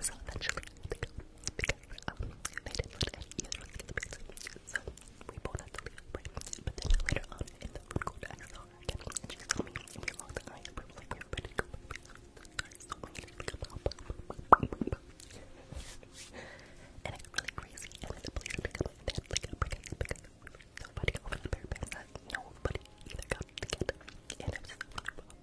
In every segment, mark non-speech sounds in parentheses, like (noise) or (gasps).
So eventually, because um, they didn't let any either of us we both had to leave, right? But then later on in the food I do her again, and she saw me, we locked eyes, and we were like, So we needed to come out. and really crazy, and the police had to come and they had like a break because nobody opened their pants, nobody either got the kid, and it was just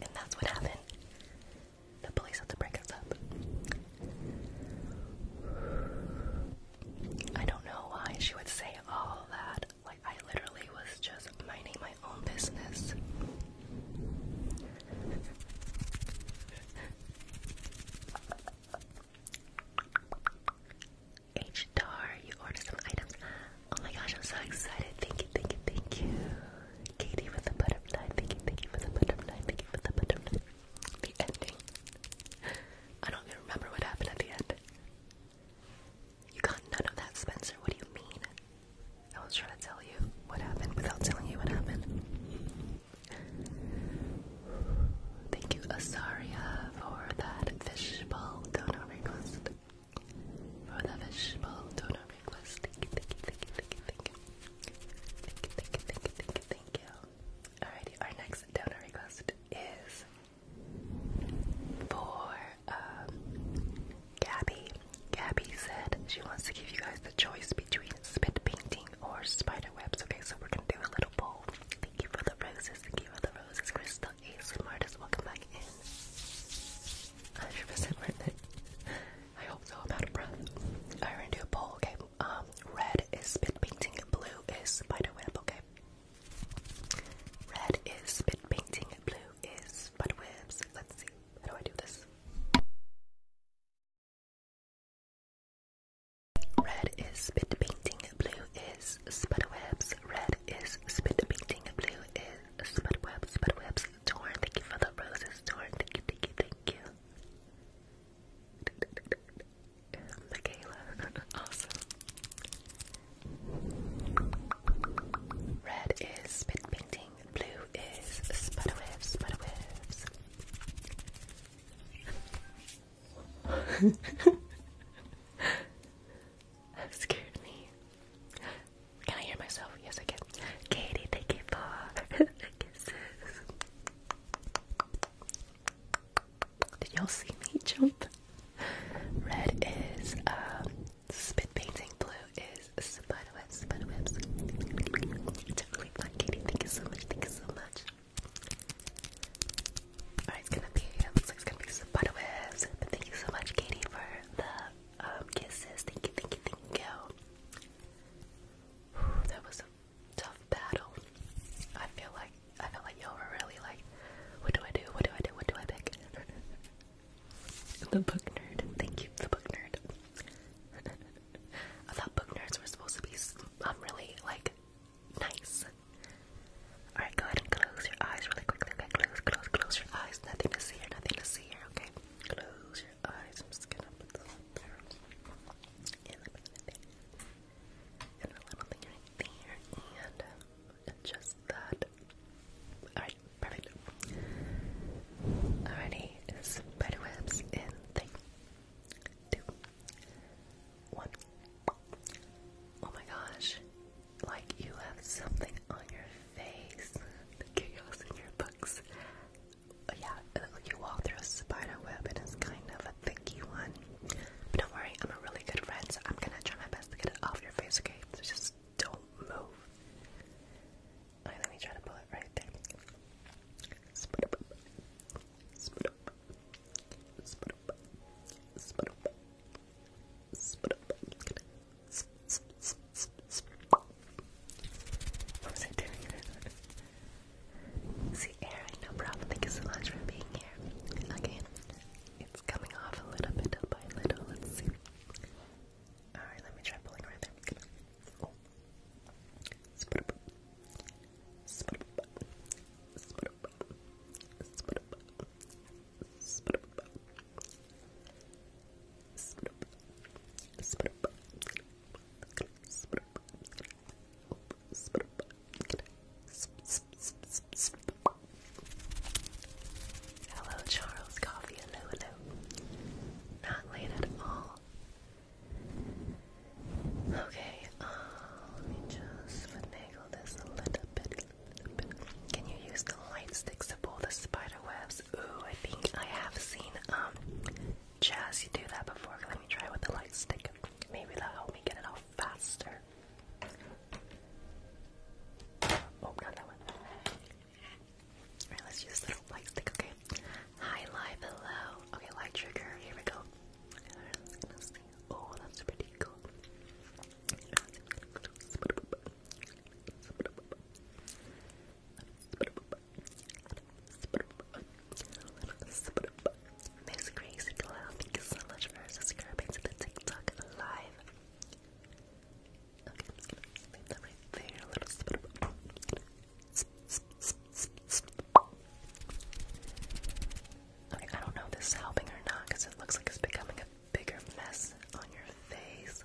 And that's what happened. The police had to break us up. I don't know why she would say all that. Like, I literally was just minding my own business. H you ordered some items. Oh my gosh, I'm so excited. Thank you, thank you, thank you. Katie with the butterfly. Thank you, thank you for the butterfly. Thank you for the butterfly. The ending. I don't even remember what happened at the end. You got none of that, Spencer. What do you mean? I was trying to tell you what happened without telling you what happened. Thank you, Asaria, for that fishbowl donor request for the vegetable donor request. Thank you, thank you, thank you, thank you, thank you. Thank you, thank you, thank you, thank you, thank you. Alrighty, our next donor request is for um Gabby. Gabby said she wants to give you guys the choice between spit painting or spider webs. Okay, so we're gonna do a little poll. Thank you for the roses, thank you for the roses, Crystal A Smartest, welcome back in. 100% worth it. I hope so. I'm out of breath. Alright, we're gonna do a poll, okay? Um, red is spit painting, blue is spiderweb, okay? Red is spit painting, blue is spiderwebs. Let's see. How do I do this? Red is spit painting, blue is spiderwebs. Red is spit painting, blue is spiderwebs, spiderwebs. Torn, thank you for the roses, Torn. Thank you, thank you, thank you. (laughs) Michaela, (laughs) awesome. Red is spit painting, blue is sputter waves, (laughs) that scared me. Can I hear myself? Yes, I can. Katie, thank you for (laughs) the kisses. Did y'all see me jump? Red is um, spit painting. Blue is spiderwebs. Spiderwebs. Totally fun, Katie. Thank you so much. Thank you so much. Alright, it's gonna be. It looks like it's gonna be spiderwebs. But thank you so much, Katie, for the um, kisses. Thank you, thank you, thank you. Whew, that was a tough battle. I feel like I feel like y'all were really like, what do I do? What do I do? What do I pick? (laughs) the book nerd. Thank you, the book nerd. (laughs) I thought book nerds were supposed to be um, really like nice. Alright, go ahead and close your eyes really quickly. Okay, close, close, close your eyes. Nothing to see here, nothing to see here, okay? Close your eyes. I'm just gonna put this up there. And a little thing right there. And uh, that. Alright, perfect. Alrighty, spider webs in three, two, one. Oh my gosh. Like you have something on your face, the chaos in your books. Yeah, you walk through a spider web and it's kind of a thicky one. But don't worry, I'm a really good friend, so I'm gonna try my best to get it off your face, okay? So just don't move. Alright, let me try to pull it right there. What was I doing? See, Aaron, no problem. Thank you so much for being here. Okay, it's coming off a little bit by little. Let's see. Alright, let me try pulling right there. Oh. Sput up. Sput up. Sput up. Sput up. Sput up. Hello, Charles Coffee. Hello, hello. Not late at all. Okay, um, let me just finagle this a little bit. Can you use the light sticks to pull the spider webs this. Ooh, I think I have seen um Jazzy do that before. Let me try with the light stick. Maybe that'll help me get it off faster. Oh, not that one. Alright, let's use the little light stick, okay? Hi, live, hello. Okay, light trigger, here we go. Oh, that's pretty cool. Miss Grace Glow, thank so much for subscribing to the TikTok live. Okay, I'm just gonna leave A little Okay, I don't know if this is helping or not because it looks like it's becoming a bigger mess on your face.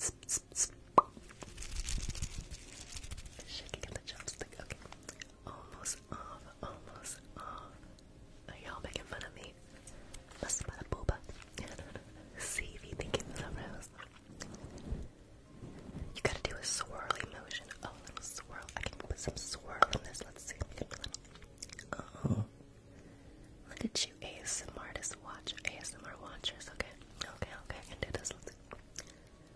Shaking the chopstick. Okay. Almost off. Almost off. Are y'all making fun of me? Must by the booba. (laughs) See if you think it was aroused. You gotta do a swirly motion. Oh, a little swirl. I can put some swirl in this. Let's see. oh. Look you, ASMR watch ASMR watchers. Okay, okay, okay. I can do this.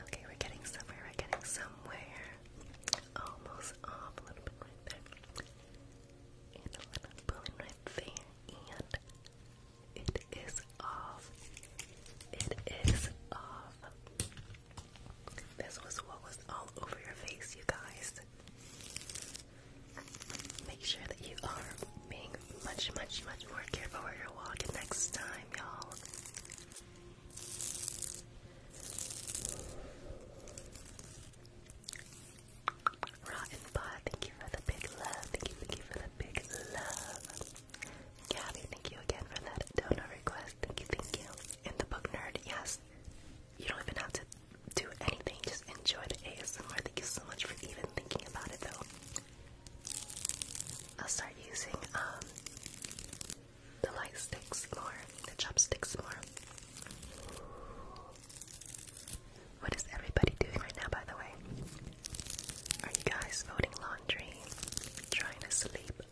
Okay, we're getting somewhere, we're getting somewhere. Almost off, um, a little bit right there. And a little pulling right there. And it is off. It is off. This was what was all over your face, you guys. Make sure that you are being much, much, much more careful where you're walking next time, y'all. Rotten Pod, thank you for the big love. Thank you, thank you for the big love. Gabby, thank you again for that donor request. Thank you, thank you. And the book nerd, yes you don't even have to do anything, just enjoy the ASMR. Thank you so much for even thinking about it though. I'll start using um the light sticks more, the chopsticks more. What is everybody doing right now by the way? Are you guys folding laundry? Trying to sleep?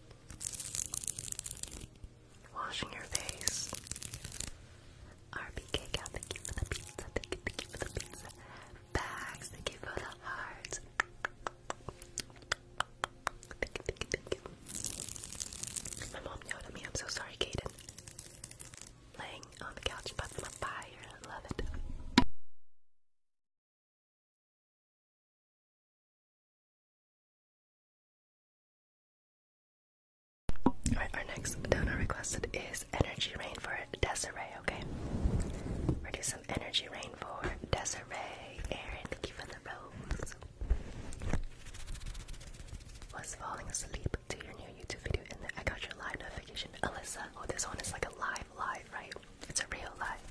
washing your face. RBK thank you for the pizza, thank you, thank you for the pizza. Bags, thank you for the hearts. My mom yelled at me, I'm so sorry, Kaden. Laying on the couch, but my fire, love it. Alright, our next donor requested is Energy Rain for Desiree, okay? we some Energy Rain for Desiree. Aaron, thank you for the rose. Was falling asleep to your new YouTube video and I got your live notification. Alyssa, oh, this one is like a live live, right? It's a real live.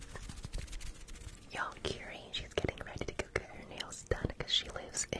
Y'all, Curie, she's getting ready to go get her nails done because she lives in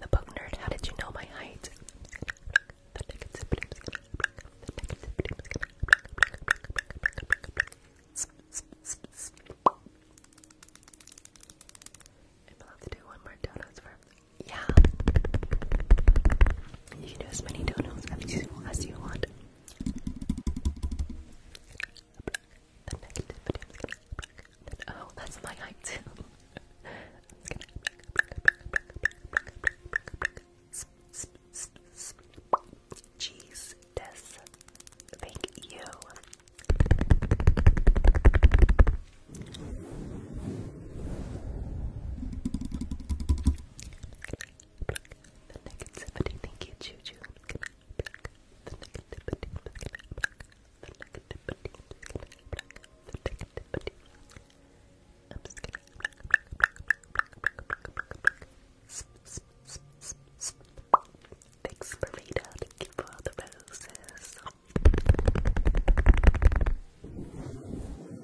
The book nerd, how did you know my height? I'll have to do one more donuts for yeah. You can do as many donuts as you, want. Oh, that's my height too. Jeez, Thank you. thank you, Juju. The I'm just going Thanks thank you for all the roses.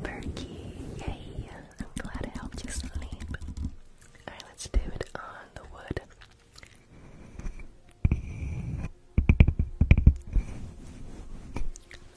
Perky, yay! I'm glad I helped you sleep. Alright, let's do it on the wood.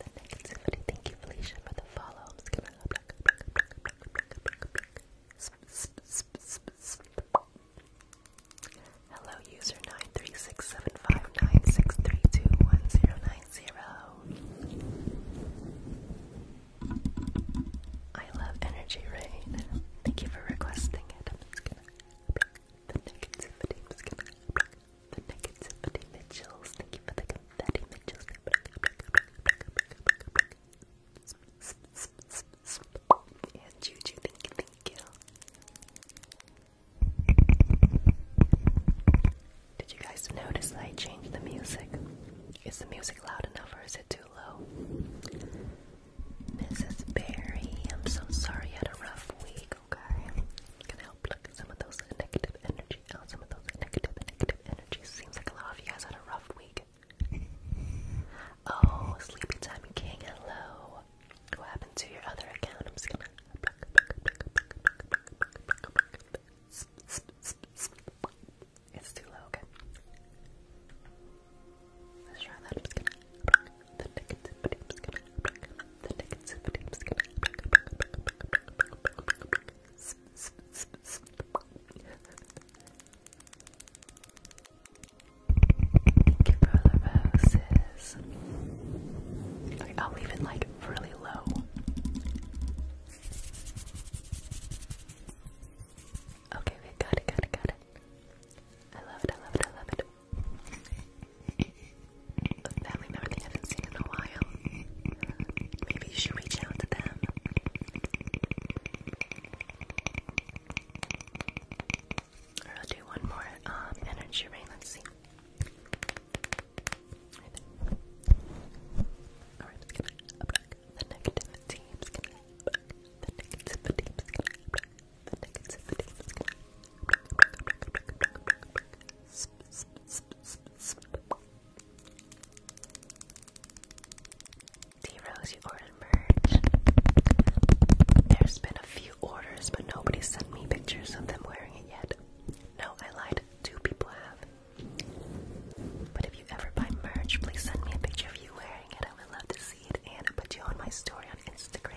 Thank you, for Hello, user nine three six seven five nine six three two one zero nine zero. I love energy rain. Thank you for requesting it the negativity Mitchells. Thank And Juju, Did you guys notice I changed the music? Is the music loud enough or is it too low? Mrs. Barry, I'm so sorry you had a rough week. Okay, gonna help pluck some of those negative energy out. Some of those negative, negative energy. Seems like a lot of you guys had a rough week. Oh, Sleepy Time King, hello. What happened to your other account? I'm just gonna It's too low, okay? Let's try that. Thank you for the roses. I'll leave it like really low. Okay, we got it, got it, got it. I love it, I love it, I love it family member they haven't seen in a while. Maybe you should reach out to them. I'll do one more um, energy ring. Let's see. Alright, let's get the negativity. I'm just the negativity. I'm just the negativity. D Rose, you ordered merch. There's been a few orders, but nobody sent me pictures of them wearing it yet. No, I lied. Two people have. But if you ever buy merch, please send me a picture of you wearing it. I would love to see it and put you on my story on Instagram.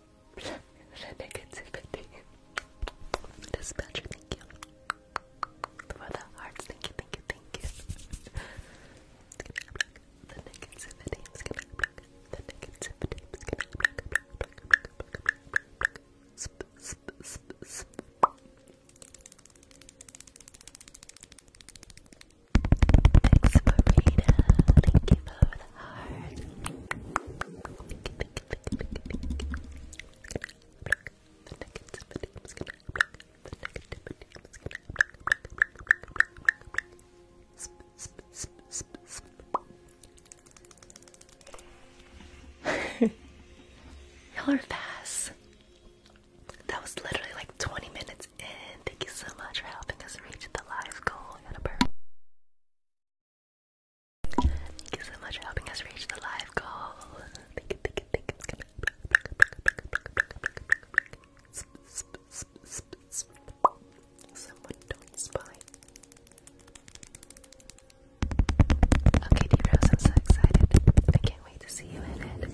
Negativity. Dispatcher, you. For the hearts, thank you, thank you, thank you. The negativity. The negativity. Sp sp sp sp Thanks, Marina. Thank you for the heart. Thank you, thank you, (laughs) you fast. That was literally like 20 minutes in. Thank you so much for helping us reach the live goal Thank you so much for helping us reach the live goal. Someone don't spy. Okay, D Rose, I'm so excited. I can't wait to see you in it.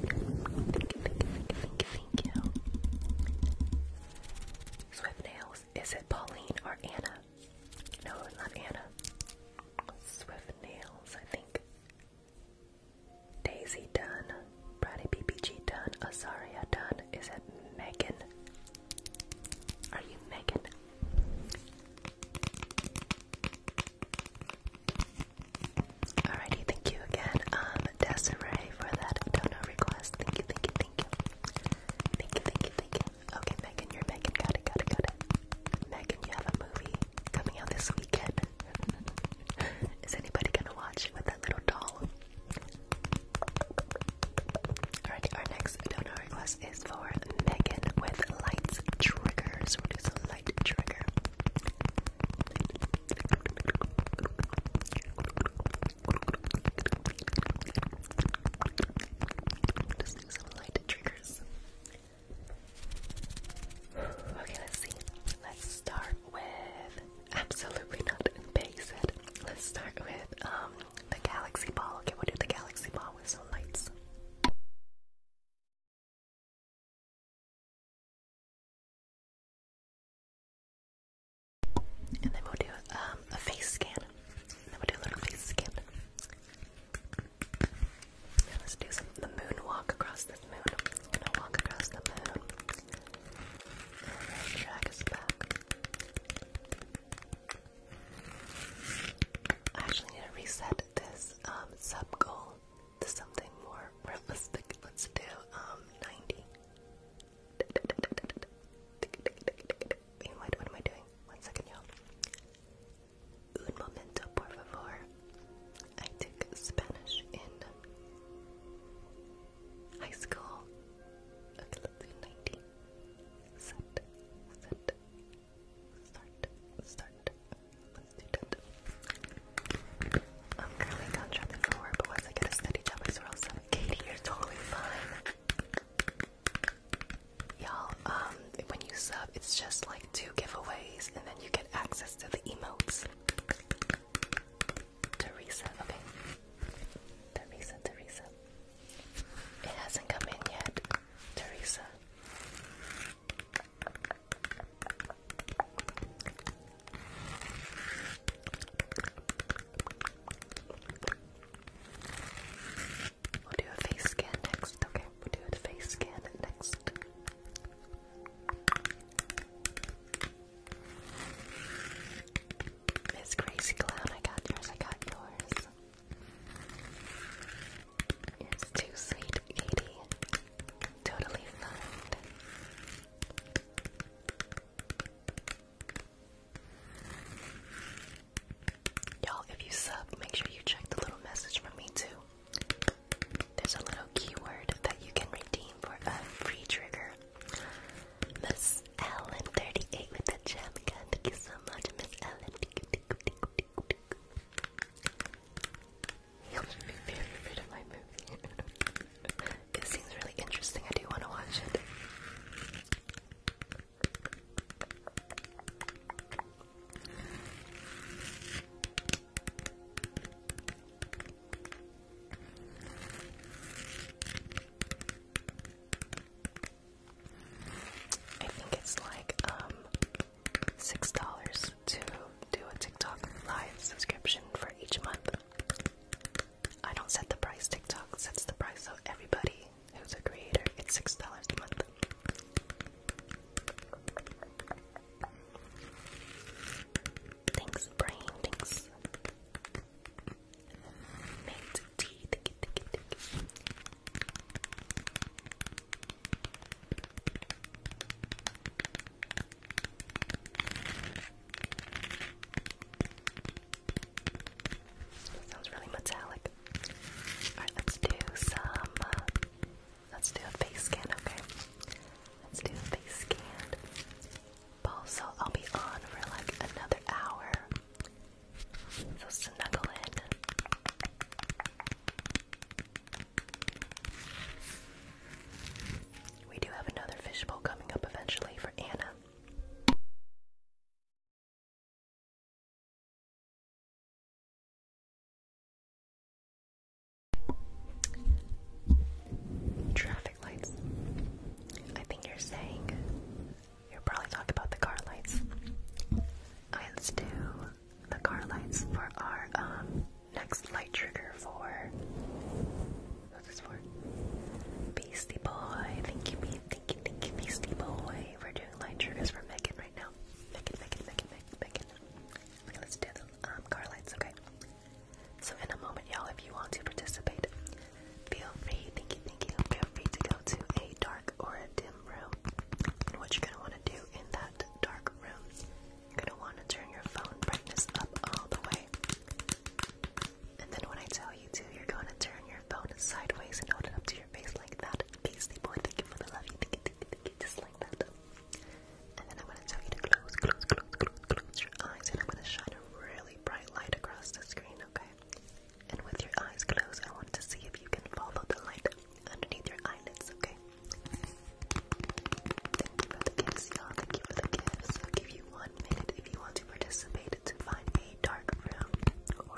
Swift Nails, is it Pauline or Anna? No, not Anna. Swift Nails, I think. Daisy Dunn. Brady BBG Dunn. Azaria Dunn. Is it Megan? Are you Megan? Alrighty, thank you again, um, Desiree, for that dono request. thank you, thank you. Thank you, thank you, thank you. Okay, Megan, you're Megan. Got it, got it, got it. Megan, you have a movie coming out this weekend. (laughs) Is anybody gonna watch it with that little doll? Alright, our next donor request is for Megan with lights triggers. We're just a light trigger some light triggers. Okay, let's see. Let's start with absolutely not basic. Let's start with um, the galaxy ball. Okay, we'll do the galaxy ball with some lights. And then we'll do um, a face scan. then we do a little face scan let's do some the moon walk across this moon. gonna walk across the moon. drag us back. actually need to reset this um, sub goal to something more realistic. Let's do 90 being What am I doing? One second, y'all. Un momento, por favor. I took Spanish in high school. Okay, let's do 19. Set, set, start, start. Let's do that. I'm currently not sure this will but once I get a steady job, I swear i Katie, you're totally fine. Y'all, um, when you sub, it's just like two giveaways, and then you get access to the emotes. Teresa, okay. Teresa, Teresa. It hasn't come in yet, Teresa. We'll do a face scan next. Okay, we'll do a face scan next. Miss Crazy Clown, I got yours, I got yours. It's too sweet, 80. Totally fine. Y'all, if you sub, make sure you check the little message from me too. There's a little keyword that you can redeem for a free trigger. Miss Ellen 38 with the gem gun. Thank you so much, Miss Ellen. Your favorite of my movie. (laughs) it seems really interesting. I do want to watch it. I think it's like um six dollars to do a TikTok live subscription for each month. I don't set the price, TikTok sets the price so everybody who's a creator. It's $6 a month. Thanks, Brain. Thanks. Mint tea. Sounds really metallic. Alright, let's do some. Uh, let's do a face scan, okay? Let's do a face scan. Also, I'll be on for like another hour. So snuggle in. We do have another fishbowl coming up eventually for Anna. Traffic lights. I think you're saying you're probably talking about the car lights. Let's do the car lights for our um, next light trigger for what's this for? Beastie Boy. Thank you, thank you, thank you, Beastie Boy. We're doing light triggers for Megan right now. Megan, Megan, Megan, Megan, Megan. Okay, let's do the um, car lights, okay? So in a moment, y'all, if you want to participate, feel free, thank you, thank you, feel free to go to a dark or a dim room. And what you're gonna wanna do in that dark room, you're gonna wanna turn your phone brightness up all the way. And then when I tell you to, you're gonna turn your phone sideways and hold it up to your face like that. Beastie boy, thank you for the love. You think it, think it, think it, just like that. And then I'm gonna tell you to close, close, close, close, your eyes, and I'm gonna shine a really bright light across the screen, okay? And with your eyes closed, I want to see if you can follow the light underneath your eyelids, okay? Thank you for the gifts, y'all. Thank you for the gifts. i you one if you want to participate to find a dark room or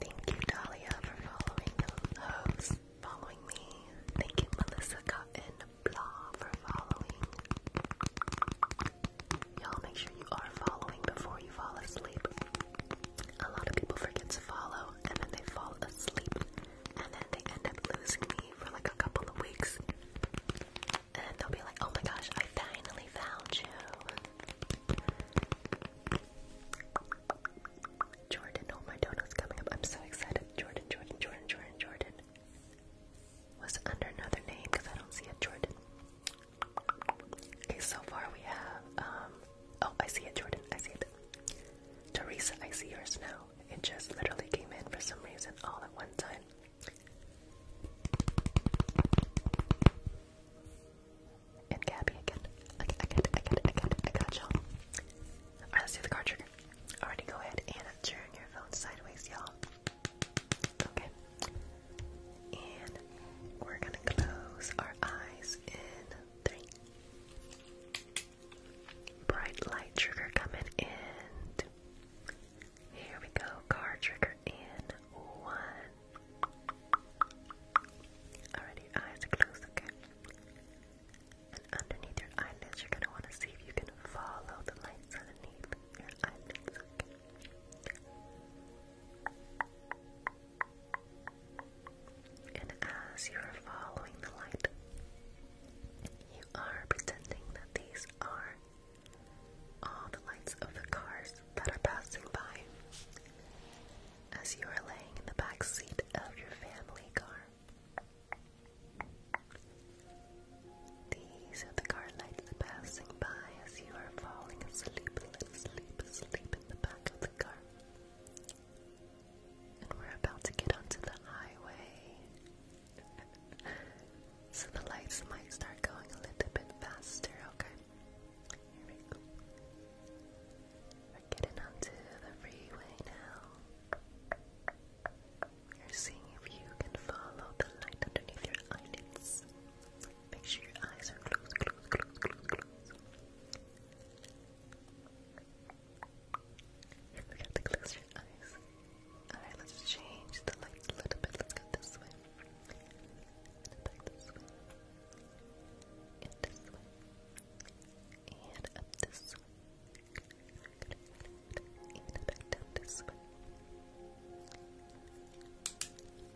Thank you, Dahlia, for following those. Following me. Thank you, Melissa Cotton Blah, for following. Y'all make sure you are following before you fall asleep. A lot of people forget to follow and then they fall asleep and then they end up losing me for like a couple of weeks and they'll be like, oh my gosh, I finally found you. Jordan, oh my donut's coming up. I'm so excited. Jordan, Jordan, Jordan, Jordan, Jordan. Was under another name because I don't see a Jordan. Okay, so far we have, um, oh, I see it, Jordan. I see it. Teresa, I see yours now. It just literally came in for some reason all at one time. And Gabby again. I get, I get, I get, I get, I got y'all. Alright, let's do the card trigger. Alrighty, go ahead and turn your phone sideways, y'all. Okay. And we're gonna close our eyes in three. Bright light trigger coming in. Here we go, card trigger in one. Alright, eyes are closed, okay? And underneath your eyelids, you're gonna wanna see if you can follow the lights underneath your eyelids, okay? And as you are following the light, you are pretending that these are all the lights of the cars that are passing by as you are laying in the back seat of your family car. These are the car lights passing by as you are falling asleep, asleep, asleep in the back of the car. And we're about to get onto the highway. (laughs) so the lights might start going a little bit faster, okay? Here we go. We're getting onto the freeway now. We're seeing if you can follow the light underneath your eyelids. Make sure your eyes are closed, closed, closed, closed, closed. You forgot to close your eyes. Alright, let's change the light a little bit. Let's go this way and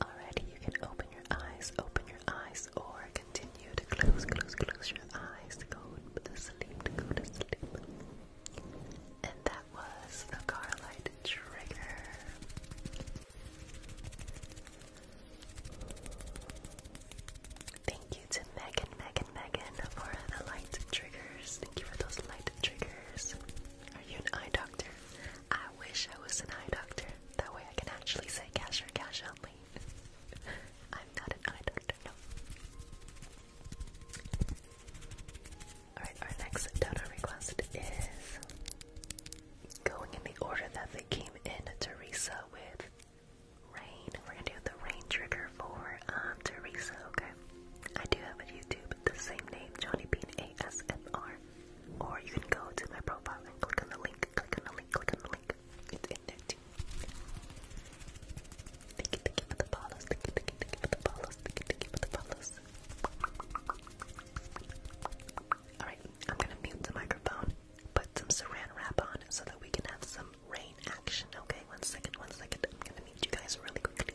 Alrighty, you can open your eyes, open your eyes, or continue to close, close, close your eyes to go to sleep, to go to sleep. And that was the Carlight trigger. Thank you to Megan, Megan, Megan for the light triggers. Thank you for those light triggers. Are you an eye doctor? I wish I was an eye doctor. That way I can actually say cash or cash only. (laughs) I'm not an eye doctor, no. Alright, our next donor request is Going in the order that they came in, Teresa with rain. We're gonna do the rain trigger for um, Teresa, okay? I do have a YouTube, the same name, Johnny Bean ASMR. Or you can go to my profile and click on the link, click on the link, click on the link. It's the follows, thank you, thank you, thank you for Alright, I'm gonna mute the microphone, put some saran wrap on so that we can have some rain action. Okay, one second, one second. I'm gonna mute you guys really quickly.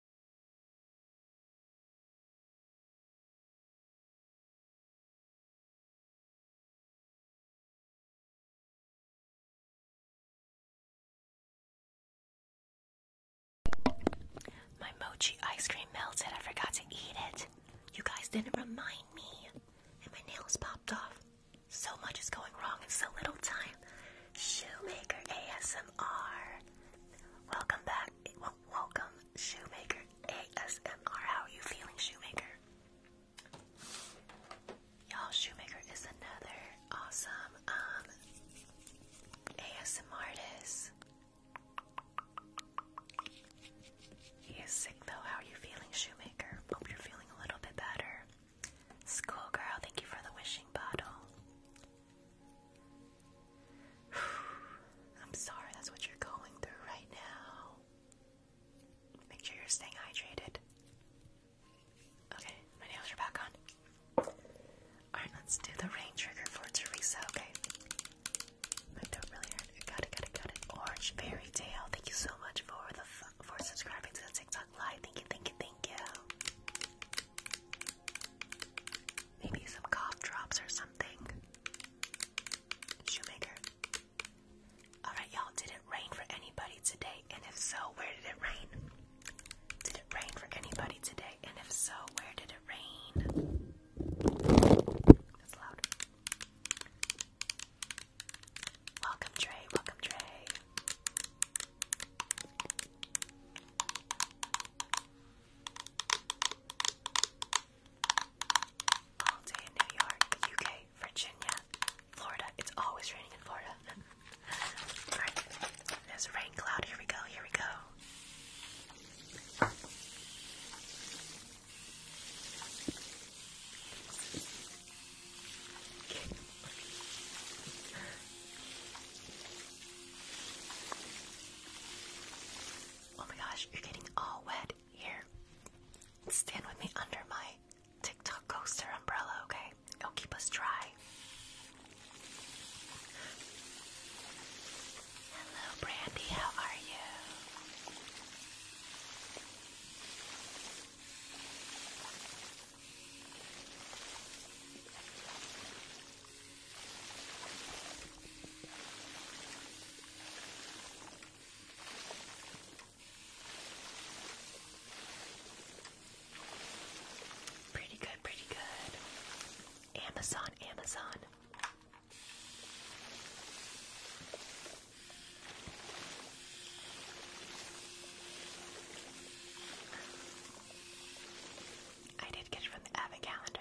My mochi ice cream melted. I forgot to eat it. You guys didn't remind me. And my nails popped off. So much is going wrong in so little time. Shoemaker ASMR. Welcome back welcome Shoemaker ASMR. How are you feeling, Shoemaker? Y'all, Shoemaker is another awesome um, ASMR artist. He sick though. How are you feeling, Shoemaker? Hope you're feeling a little bit better. Schoolgirl, thank you for the wishing bottle. (sighs) I'm sorry that's what you're going through right now. Make sure you're staying hydrated. Okay, my nails are back on. Alright, let's do the rain trigger for Teresa, okay? I don't really hurt. Got it, got it, got it. Orange Fairy Tale, thank you so much for the for subscribing to the TikTok live. Thank you, thank you, thank you. Maybe some cough drops or something. Shoemaker. Alright, y'all, did it rain for anybody today? And if so, where did it rain? Did it rain for anybody today? And if so, where did it rain? That's loud. Welcome, Trey. Welcome, Trey all day in New York, UK, Virginia, Florida. It's always raining in Florida. (laughs) there's a rain cloud. Here we go, here we go. Oh my gosh, you're getting all wet here. Stand with me under my TikTok coaster umbrella, okay? It'll keep us dry. Hello, Brandy, how are you? Pretty good, pretty good. Amazon, Amazon. I did get from the Avid calendar.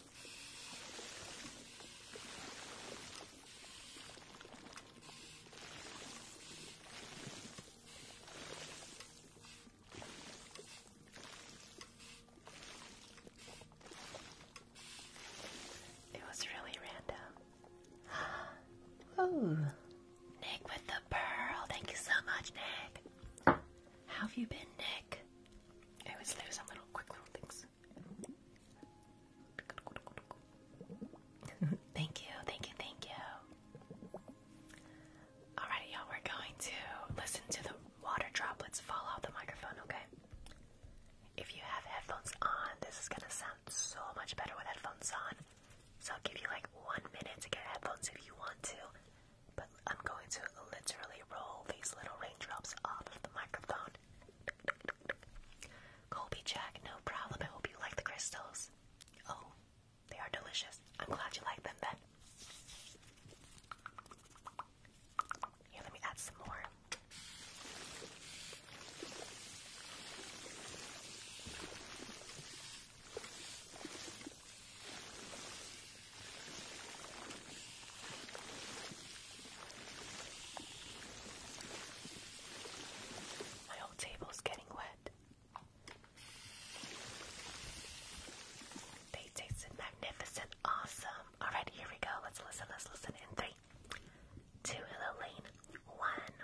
It was really random. (gasps) Ooh. Nick with the pearl. Thank you so much, Nick. have you been, Nick? I always lose on little quick little things. (laughs) thank you, thank you, thank you. Alright, y'all, we're going to listen to the water droplets fall off the microphone, okay? If you have headphones on, this is gonna sound so much better with headphones on. So I'll give you like one minute to get headphones if you want to, but I'm going to literally roll these little raindrops off of the microphone. Colby Jack, no problem. I hope you like the crystals. Oh, they are delicious. I'm glad you like them then. Here, let me add some more. My old table's getting wet. They tasted magnificent, awesome. Alright, here we go. Let's listen, let's listen in three, two, hello lane, one.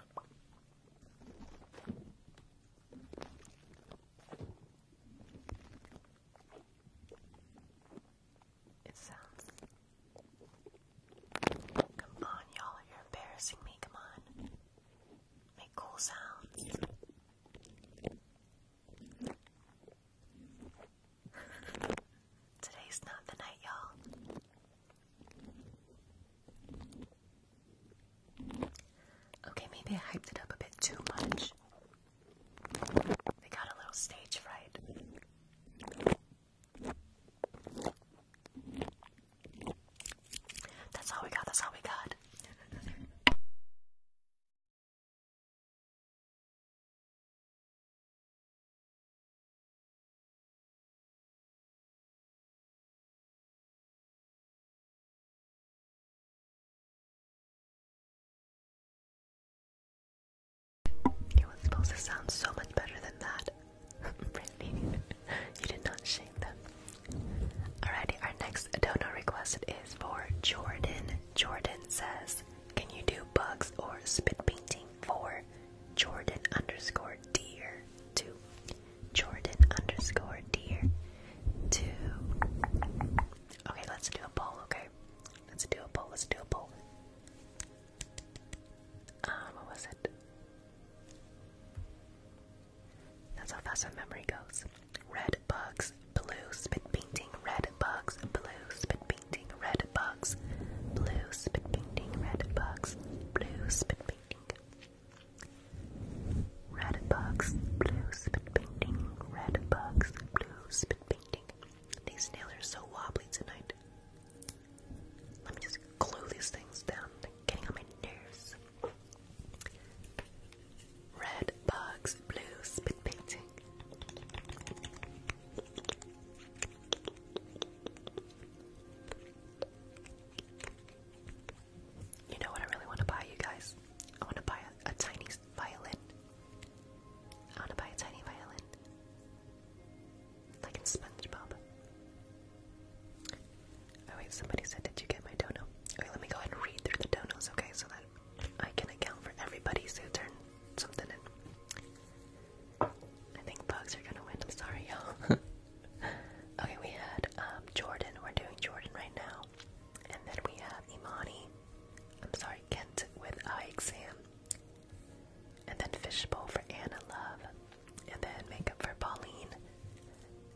Come on, y'all, you're embarrassing me. Come on. Make cool sounds. Today's not the night, y'all. Okay, maybe I hyped it up a bit too much. They got a little stage fright. That's all we got, that's all we got. It was supposed to sound so much better than that. (laughs) really? you did not shame them. Alrighty, our next donor request is for Jordan. Jordan says, Can you do bugs or spit painting for Jordan underscore dear To. Jordan underscore dear two. Okay, let's do a poll, okay? Let's do a poll. Let's do a poll. Um, what was it? That's how fast my memory goes. Red bugs, blue spit painting. Red bugs, blue spit painting. Red bugs, blue spit painting. Red bugs, blue spit painting. Red bugs, blue spit painting. Red bugs, blue spit painting. These nails are so wobbly tonight. Let me just glue these things down. They're getting on my nerves. Red bugs, blue spit painting. You know what I really want to buy, you guys? I want to buy a, tiny violin. I want to buy a tiny violin. Like in SpongeBob. Oh wait, somebody said, did you get my dono? Okay, let me go and read through the donos, okay, so that I can account for everybody's who turned something in. I think bugs are gonna win, I'm sorry, y'all. (laughs) okay, we had um, Jordan, we're doing Jordan right now. And then we have Imani, I'm sorry, Kent with eye exam and then Fishbowl for Anna Love, and then Makeup for Pauline,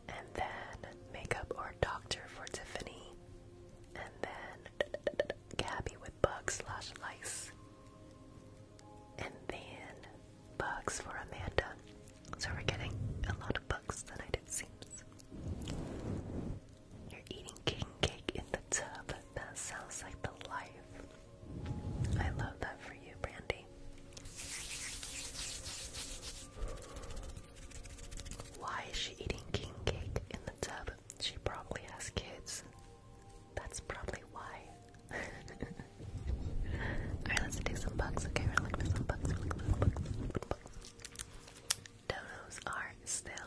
and then Makeup or Doctor for Tiffany, and then Gabby with Bugs slash Lice, and then Bugs for Amanda. So we're getting a lot of bugs tonight, it seems. You're eating king cake in the tub. That sounds like the life. I love that for you, Brandy. Why is she eating king cake in the tub? She probably has kids. That's probably why. (laughs) Alright, let's do some bugs. Okay, we're looking for some bugs. We're looking for bugs. Donos are still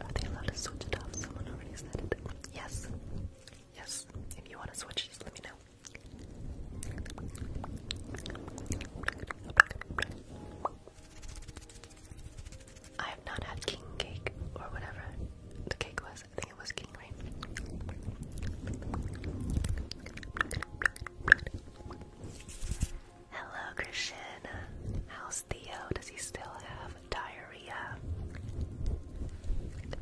Are they allowed to switch it off? Someone already said it. Yes. Yes. If you want to switch, just let me know. I have not had king cake or whatever the cake was. I think it was king rain. Hello, Christian. How's Theo? Does he still have diarrhea?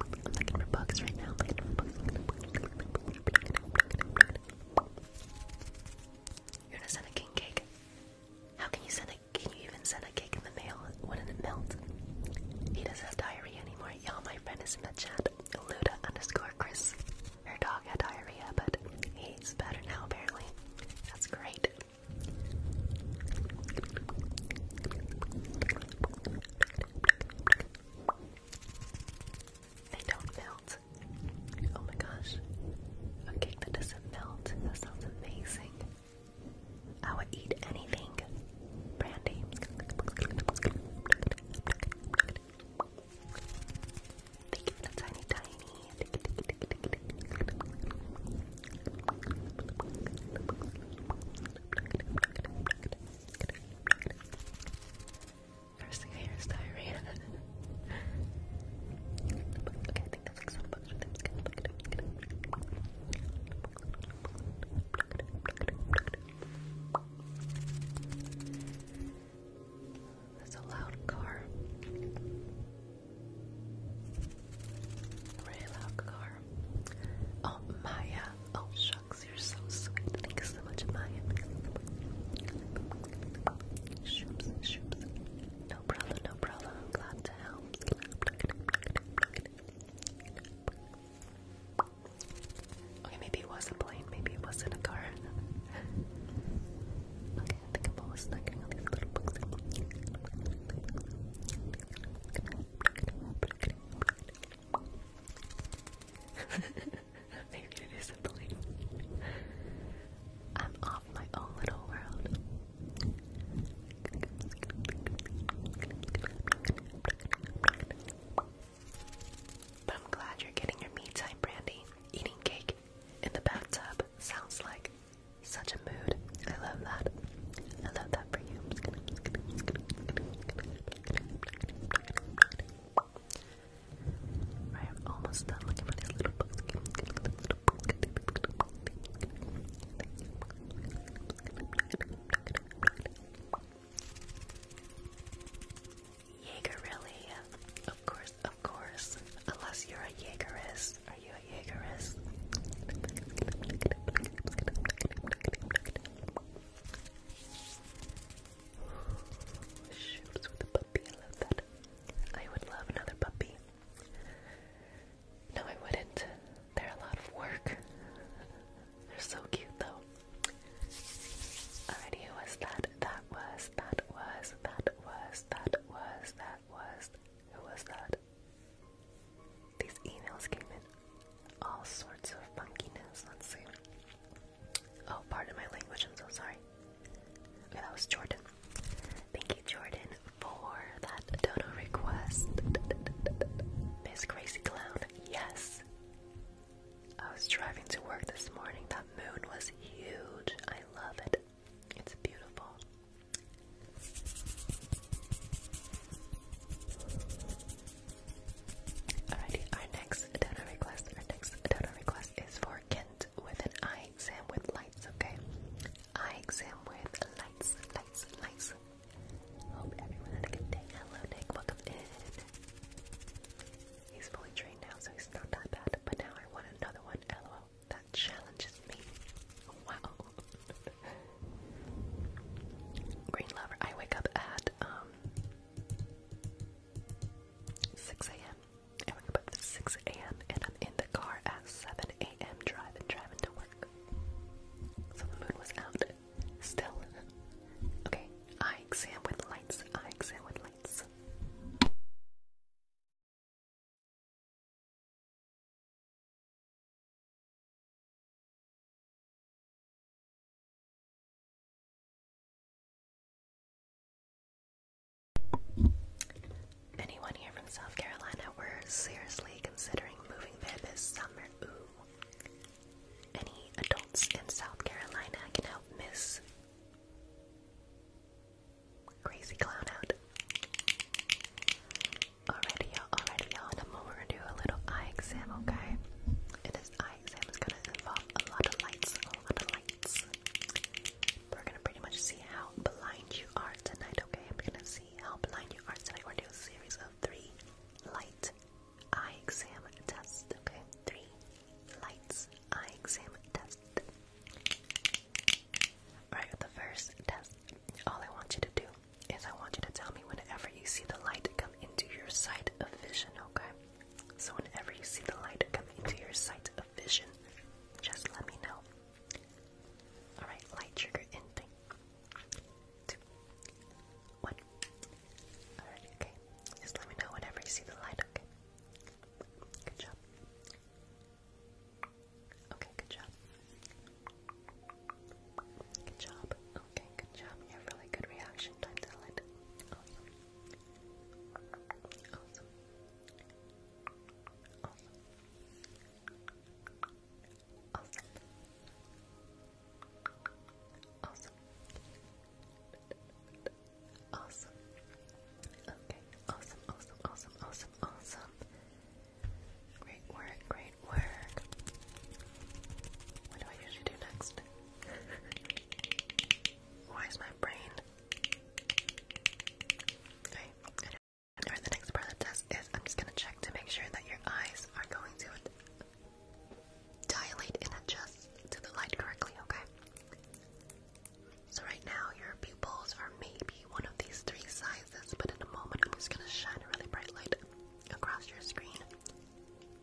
I'm looking for bugs right now. You're gonna send a king cake. How can you send a? Can you even send a cake in the mail? Wouldn't it melt? He doesn't have diarrhea anymore. Y'all, my friend is in the chat. Luda underscore Chris. Her dog had diarrhea, but he's better now apparently. That's great. They don't melt. Oh my gosh. A cake doesn't melt. That sounds amazing. I would eat anything. Brandy. Thank you for the tiny tiny. First thing I hear is diarrhea. (laughs) okay, I think that's like some bugs with them. That's a loud car. really loud car. Oh, Maya. Oh, shucks, you're so sweet. Thank so much, Maya. No problem, no problem. glad to help. maybe it was a plane, maybe it wasn't a car. (laughs) I am Maybe it is something. I'm off my own little world. But I'm glad you're getting your me time, Brandy. Eating cake in the bathtub sounds like such a mood. I love that. I love that for you. Right, i almost done looking for these little books. Jaegerelli. Of course, of course. Unless you're a Jaegerist. Are you a Jaegerist? Shoots with a puppy, I love that. I would love another puppy. No, I wouldn't. They're a lot of work. They're so cute though. Alrighty, was that? That was, that was, that was, that was, that was, who was that? These emails came in all sorts of funkiness. Let's see. Oh, pardon my language, I'm so sorry. Okay, that was Jordan. Thank you, Jordan, for that dono request. Miss Crazy Clown, yes. I was driving to work this morning. That moon was huge. I love it. It's beautiful. Alrighty, our next donor request, our next donor request is for Kent with an eye exam with lights, okay? Eye exam with lights, lights, lights. Hope everyone had a good day. Hello Nick, welcome in. He's fully trained now, so he's not that bad. But now I want another one. LOL that challenges me. Wow. (laughs) Green lover. I wake up at um 6 a.m. I wake up at 6 a.m. and I'm in the car at 7 a.m. driving, driving to work. So the moon was out. Still. Okay. Eye exam with lights. Eye exam with lights. Anyone here from South Carolina were seriously considering moving there this summer? Ooh. Any adults in South Carolina can help Miss Crazy clown out. Alrighty, y'all, alrighty, y'all. In a moment, we're gonna do a little eye exam, okay? this eye exam is gonna involve a lot of lights, a lot of lights. We're gonna pretty much see how blind you are tonight, okay? I'm gonna see how blind you are tonight. We're gonna do a series of three light eye exam tests, okay? Three lights eye exam test. Alright, the first test, all I want you to do is I want you to tell me whenever you see the light come into your sight of vision, okay? So whenever you see the light come into your sight of vision, just let me know. Alright, light trigger in thing. Alright, okay. Just let me know whenever you see the light, okay? Good job. Okay, good job. Good job. Okay, good job. You have really good reaction time, Awesome. Okay. Awesome. Awesome. Awesome. Awesome. Awesome. Great work. Great work. What do I usually do next? (laughs) Why is my brain? Okay. Anyway, next part of the test is I'm just gonna check to make sure that your eyes are going to dilate and adjust to the light correctly. Okay. So right now your pupils are maybe one of these three sizes, but in a moment I'm just gonna shine a really bright light across your screen.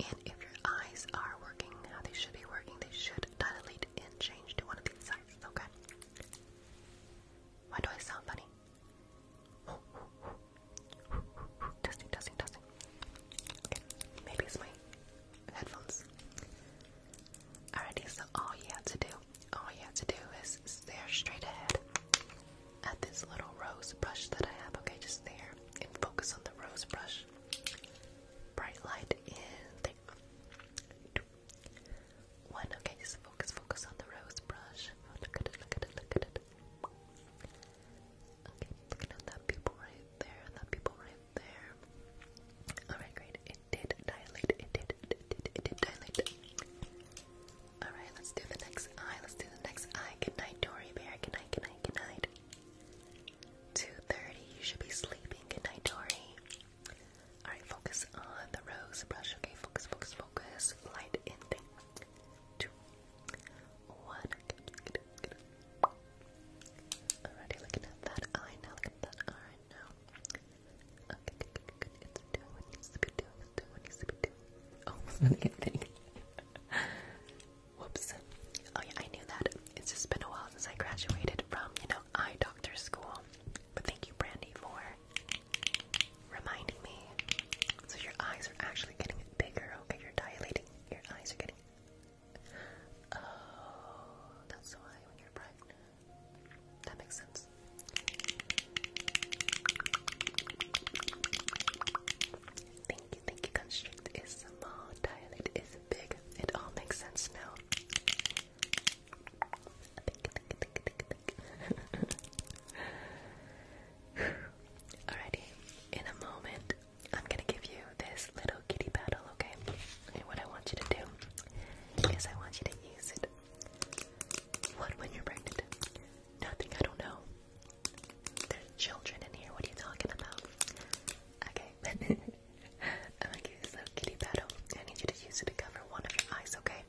And if your eyes are working how they should be working, they should dilate and change to one of these sizes, okay? Why do I sound funny? testing, testing, testing. maybe it's my headphones. Alrighty, so all you have to do all you have to do is stare straight ahead at this little rose brush that I have. Okay, just there and focus on the rose brush. Bright light in okay, just focus, focus on the rose brush. Oh, look at that pupil right there, that pupil right there. Alright, great. It did, it did, Alright, let's do the next eye. Let's do the next eye. Good night, Dory Bear. Good night, good night, good night. 2.30, you should be sleeping. Good night, Dory. Alright, focus on the rose brush. Okay, focus, focus, focus. Light in three, two, one. Alrighty, looking at that eye now. Look at that eye no. Okay, good, good, good. It's doing what needs to be doing. what needs to be doing. Oh, anything. Whoops. Oh yeah, I knew that. It's just been a while since I graduated from, you know, eye doctor school. But thank you, Brandy, for reminding me. So your eyes are actually getting bigger, okay? You're dilating. Your eyes are getting... Oh, that's why when you're pregnant. That makes sense. Thank you, thank you. Constrict is small, dilate is big. It all makes sense now. Alrighty, in a moment, I'm gonna give you this little kitty battle, okay? And what I want you to do is I want you to use it what when you're pregnant? Nothing, I don't know. There's children in here, what are you talking about? Okay. (laughs) I'm gonna use a kitty paddle. I need you to use it to cover one of your eyes, okay?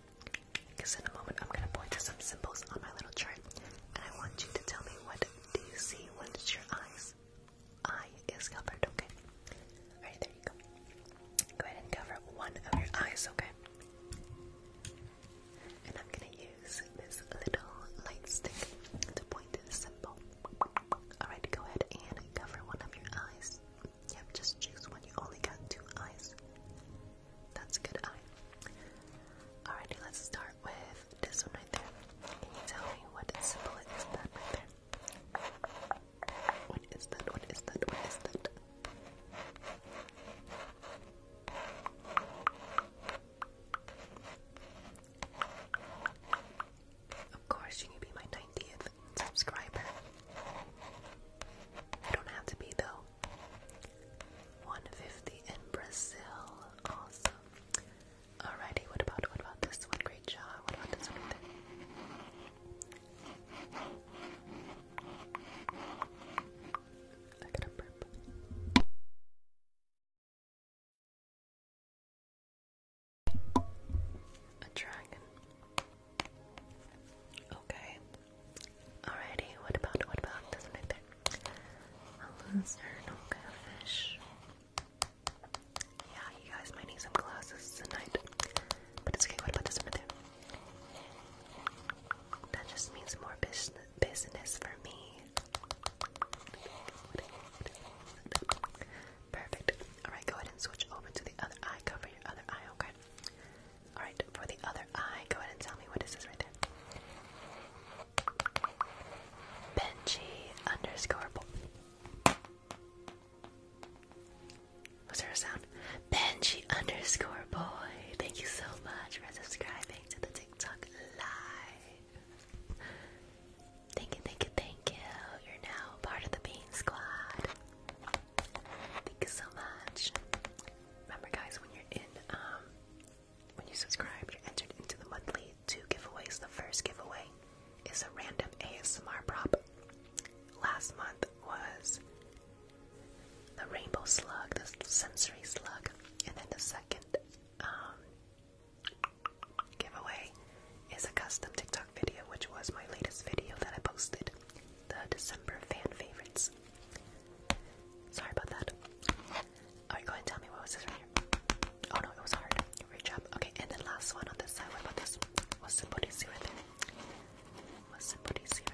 Because in a moment I'm gonna point to some symbols on my little chart. And I want you to tell me what do you see when your eyes. Eye is covered, okay? Alright, there you go. Go ahead and cover one of your eyes, okay? And I'm gonna use this little light stick to point the symbol. Alright, go ahead and cover one of your eyes. You have just choose one. You only got two eyes. That's a good eye. Alrighty, let's start with this one right there. Can you tell me what symbol it is what is that? What is that? What is that? Of course, you can be my 90th subscriber. I don't have to be, though. 150 in Brazil. Awesome. Alrighty, what about what about this one? Great job. What about this I got a burp. A dragon. Okay. Alrighty, what about what about this one right A lizard, okay, a Yeah, you guys might need some glasses tonight. But it's okay, what about this right there? That just means more business business for me. Perfect. Alright, go ahead and switch over to the other eye. Cover your other eye, okay? Alright, for the other eye, go ahead and tell me what is this right there? Benji underscore was there sound? Benji Thank you so much for subscribing to the TikTok live. Thank you, thank you, thank you. You're now part of the Bean Squad. Thank you so much. Remember, guys, when you're in, um, when you subscribe, you're entered into the monthly two giveaways. The first giveaway is a random ASMR prop. Last month was the rainbow slug, the sensory slug, and then the second um, giveaway is a custom TikTok video, which was my latest video that I posted, the December fan favorites. Sorry about that. Alright, go ahead and tell me what was this right here. Oh no, it was hard. Reach up. Okay, and then last one on this side. What about this? What's the Bodhisattva right there? somebody's here,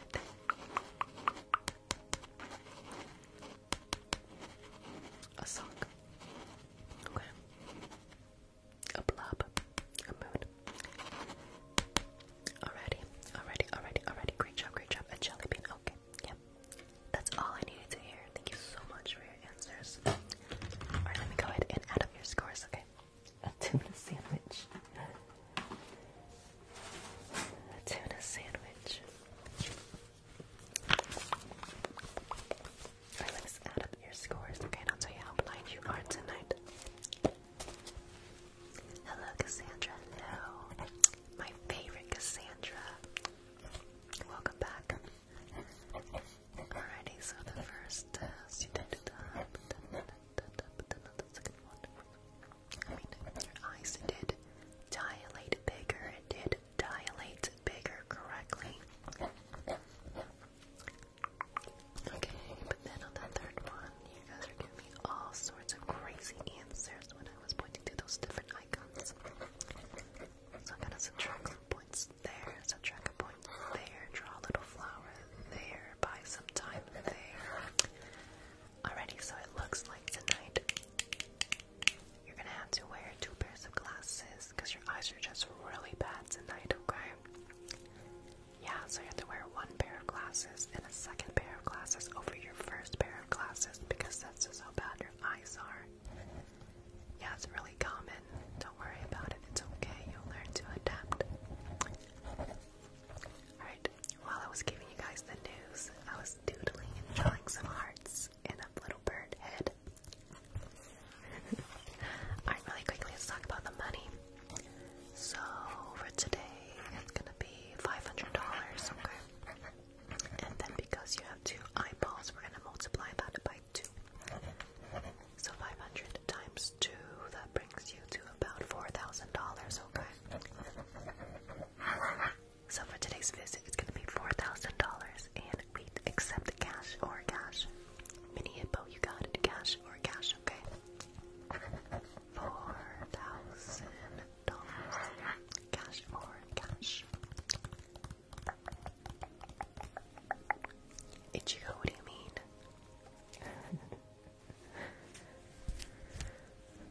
A sock. A blob. A moon. Alrighty, alrighty, alrighty, alrighty. Great job, great job. A jelly bean. Okay, yeah. That's all I needed to hear. Thank you so much for your answers. Alright, let me go ahead and add up your scores, okay? a tuna sandwich. A tuna sandwich. let's add up your scores. Okay, I'll tell you how blind you are tonight. Hello, Cassandra. Hello. My favorite Cassandra. Welcome back. Alrighty, so the first student I mean, your eyes did dilate bigger, it did dilate bigger correctly. Okay, but then on that third one, you guys are giving me all sorts of crazy answers when I was pointing to those different icons. So I'm gonna subtract some points there, subtract a point there, draw little flower there, by some time there. Alrighty, so it looks like tonight you're gonna have to wear two pairs of glasses because your eyes are just really bad tonight, okay? Yeah, so you have to wear one pair of glasses and a second pair of glasses over your first pair of glasses because that's just how bad your eyes are. Yeah, it's really common. Don't worry about it. It's okay. You'll learn to adapt. Alright, while I was giving you guys the news, I was doodling and drawing some hearts in a little bird head. (laughs) Alright, really quickly, let's talk about the money. So, for today, it's gonna be $500, And then because you have two eyeballs, we're gonna multiply that by two. So 500 times 2, that brings you to about $4,000, okay? So for today's visit, it's going to be $4,000, and we accept cash or cash. Mini Hippo, you got it, cash or cash, okay? $4,000, cash or cash. Ichigo, what do you mean?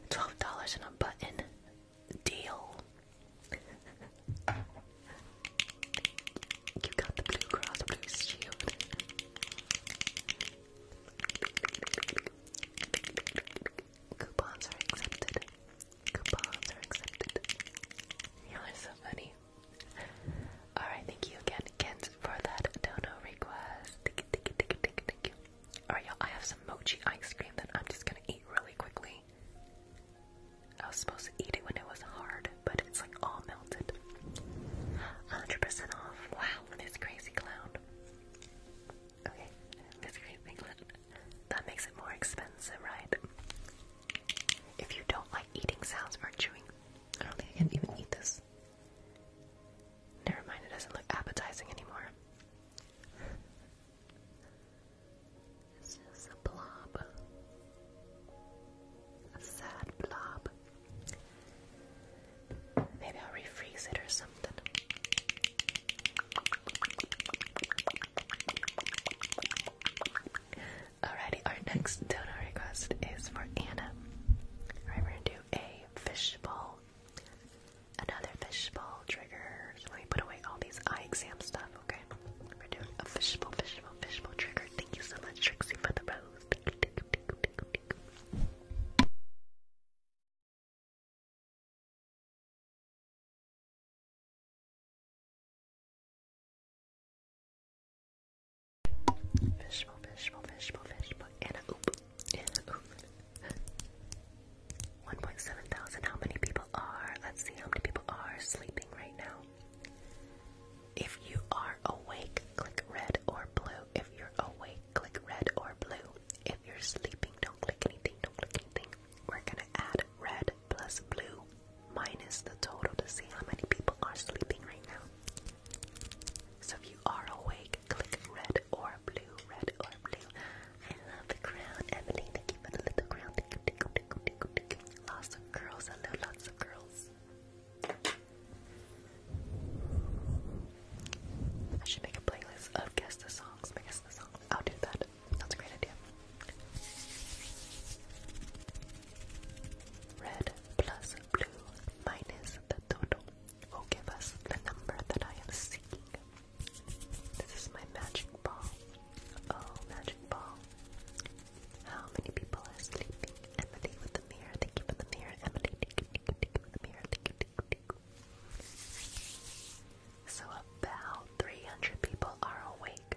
Twelve dollars and a button deal. Coupons are accepted. Coupons are accepted. Y'all so funny. Alright, thank you again, Ken for that dono request. Alright, y'all, I have some mochi ice cream that I'm just gonna eat really quickly. I was supposed to eat it when it was hard, but it's like all melted. 100% off. Wow, this crazy clown. Okay, this crazy clown. That makes it more expensive, right? If you don't like eating sounds or chewing, I don't think I can even eat this. Never mind, it doesn't look appetizing anymore. it's just a blob. A sad blob. Maybe I'll refreeze it or something. Alrighty, our next donor request is for Anna. Alright, we gonna do a fishbowl Another fishbowl trigger. let me put away all these eye exam stuff, okay? We're doing a fishbowl, fishbowl, fishbowl trigger. Thank you so much, Trixie, for the rose. Fishbowl, fishbowl, fishbowl, fishbowl, and a oop. 1.7 thousand. How many people are? Let's see how many people are sleeping right now. If you are awake, click red or blue. If you're awake, click red or blue. If you're sleeping, don't click anything, don't click anything. We're gonna add red plus blue minus the total to see how many people are sleeping right now. So if you are awake, click red or or blue, red or blue. I love the crown. Emily, thank you for the little crown. Lots of girls. I know lots of girls. I should make a playlist of guess the songs. My guess the songs. I'll do that. That's a great idea. Red plus blue minus the total will give us the number that I am seeking. This is my magic ball. Oh, magic ball. How many people are sleeping? Emily with the mirror. Thank you the mirror. Emily, thank you, thank with the mirror. Thank you, thank So about 300 people are awake.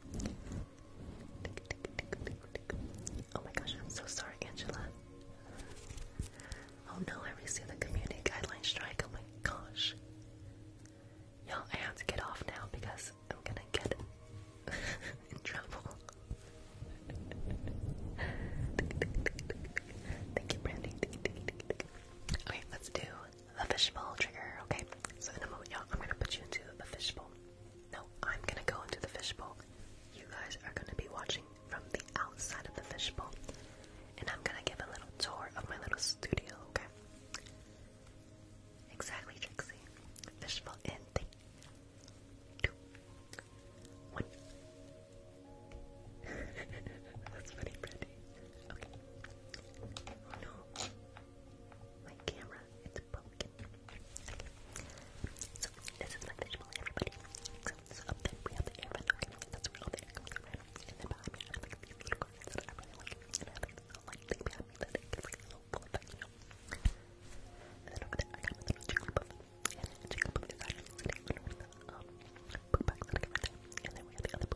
Oh my gosh, I'm so sorry, Angela. Oh no, I received the community guideline strike. Oh my gosh. Y'all, I have to get off now because I'm gonna get (laughs) in trouble. Okay, let's do the fishbowl trigger, okay? So in a moment, y'all, I'm gonna put you into the fishbowl. No, I'm gonna go into the fishbowl. You guys are gonna be watching from the outside of the fishbowl. And I'm gonna give a little tour of my little studio, okay? Exactly, Trixie. Fishbowl in three, two, one. (laughs) That's funny, Brandy. Okay. Oh no my camera, it's broken. So, this is my visual, everybody. So, up there we have the air vent that's where all And then behind me I have these little curtains that I really like. And you then over there I got my chicken puff. And then the chicken puff is actually sitting under one of there. we have the other poop And a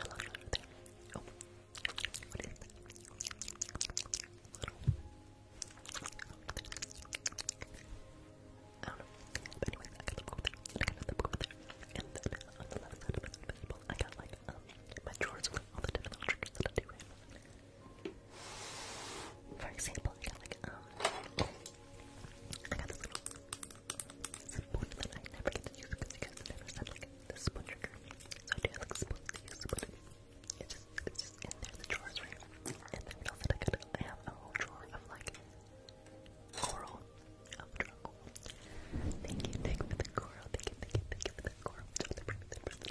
lot of there. Oh, what is I got the book there, I got the book there, and then on the left side of my I got like my drawers with all the different triggers that I do For example, I got like um, I got this little symbol that I never get to use because you guys never said like the spoon trigger. So do have like spoons to use, but it's just, it's just in there, the drawers, right? And then else I could, I have a whole drawer of like coral, of coral. Thank you, Thank you, thank you, for the coral. Thank you Thank you, thank you for the coral. Thank you, thank you for the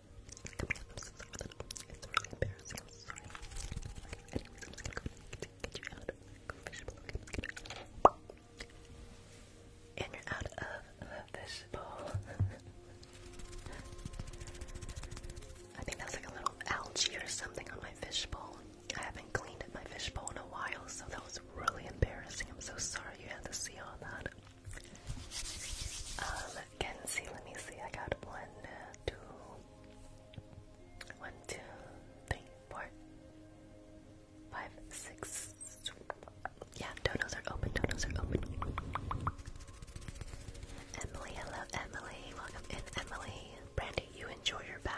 i And you're out of the I think that's like a little algae or something on my fishbowl. I haven't cleaned my fishbowl in a while, so that was really embarrassing. I'm so sorry you had to see all that. Um, can see, let me see, I got one, two, one, two, three, four, five, six. Yeah, donuts are open, donuts are open. Emily, hello Emily, welcome in Emily. Brandy, you enjoy your bath.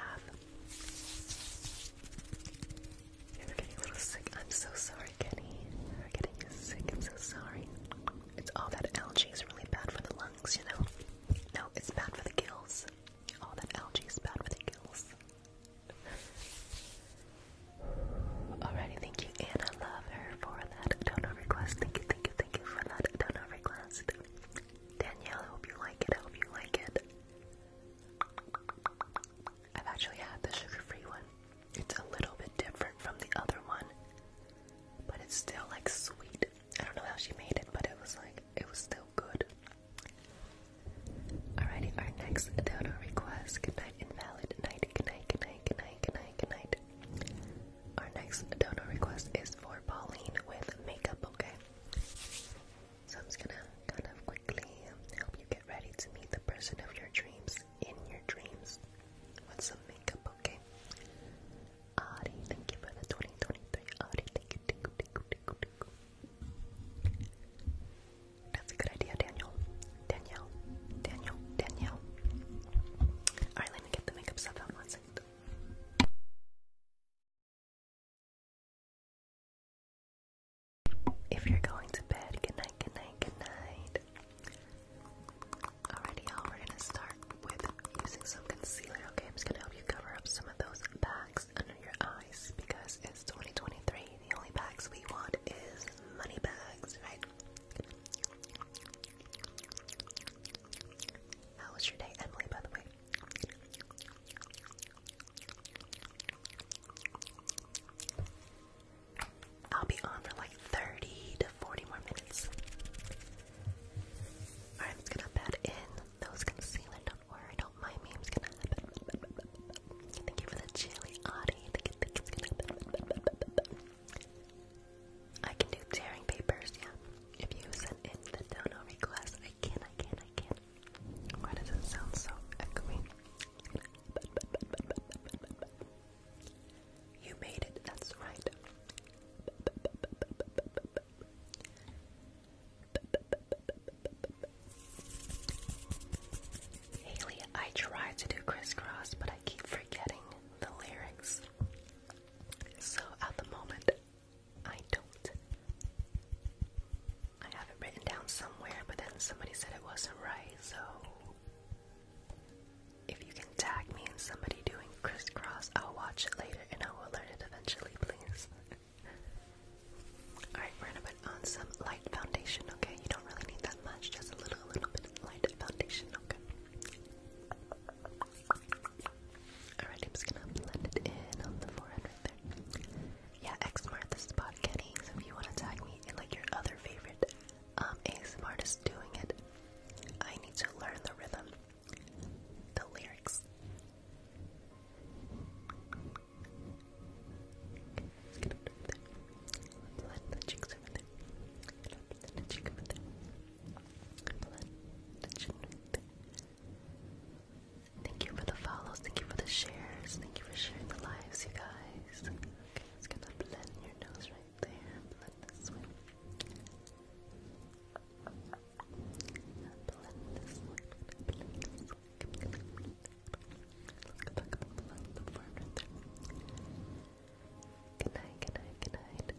You're getting a little sick. I'm so sorry, Kenny. You're getting sick. I'm so sorry. It's all that algae is really bad for the lungs, you know? No, it's bad for the gills. All that algae is bad for the gills. Alrighty, thank you, Anna Lover, for that donor request. Thank you, thank you, thank you for that do donor request. Danielle, I hope you like it. I hope you like it. I've actually had the sugar-free one. It's a little bit different from the other one, but it's still like sweet. I don't know how she made it, but it was like it was still good. Alrighty, our next dodo request. Good night, invalid. Night, good night, good night, good night, good night, good night. Our next dodo request is for Pauline with makeup, okay? So I'm just gonna kind of quickly help you get ready to meet the person of your dreams in your dreams with some makeup, okay? Ari, thank you the 2023. Ari, thank you, thank you, thank you, That's a good idea, Daniel. Danielle, Daniel, Danielle. Alright, let me get the makeup stuff out If you're going to bed, good night, good night, good night. Alrighty, y'all, we're gonna start with using some concealer, okay? I'm just gonna help you cover up some of those bags under your eyes because it's 2023. The only bags we want is money bags, right? How was your day, Emily, by the way? I'll be on for like 30 to 40 more minutes. I'm just gonna bed in those concealer. Don't worry, don't mind me. I'm gonna. Thank you for the chili, Audie. Thank you, It's gonna. I can do tearing papers, yeah. If you send in the dono request, I can, I can, I can. Why does it sound so echoey? You made it, that's right. Haley, I try to do crisscross, but I keep forgetting the lyrics. So at the moment, I don't. I have it written down somewhere, but then somebody said it wasn't right, if you can tag me and somebody doing crisscross, I'll watch it later and I will learn it eventually, please. Alright, we're gonna put on some light foundation, okay? You don't really need that much, just a little, a little bit light foundation, okay? Alright, I'm just gonna blend it in on the forehead right there. Yeah, X marked the spot, Kenny, so if you wanna tag me in like your other favorite um, ASMR is doing it. I need to learn the rhythm, the lyrics. Okay, let's get over there. Blend the cheeks over there. Blend the cheek over there. Blend the chin right there. Thank you for the follows. Thank you for the shares. Thank you for sharing the lives, you guys. Okay, it's gonna blend your nose right there. Blend this one. Blend this one. Good night, good night, good night.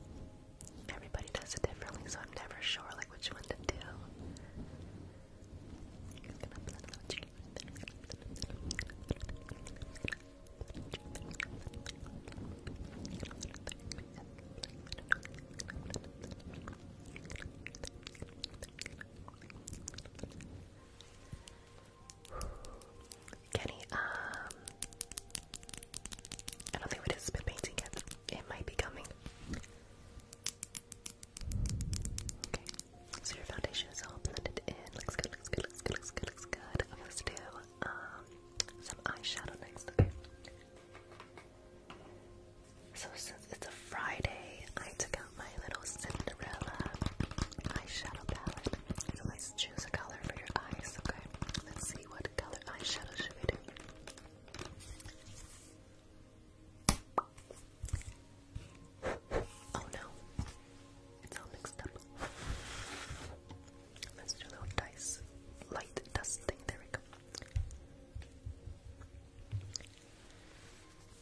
Everybody does it differently, so I'm never sure like which one to do. Kenny, um, I don't think we did spit painting yet. It might be coming. Okay, so your foundation is all blended in. Looks good, looks good, looks good, looks good, looks good. Let's do um, some eyeshadow next. So since it's a Friday, I took out my little Cinderella eyeshadow palette. So let's choose a color for your eyes. Okay. Let's see what color eyeshadow should we do. Oh no, it's all mixed up. Let's do a little dice, light dust There we go.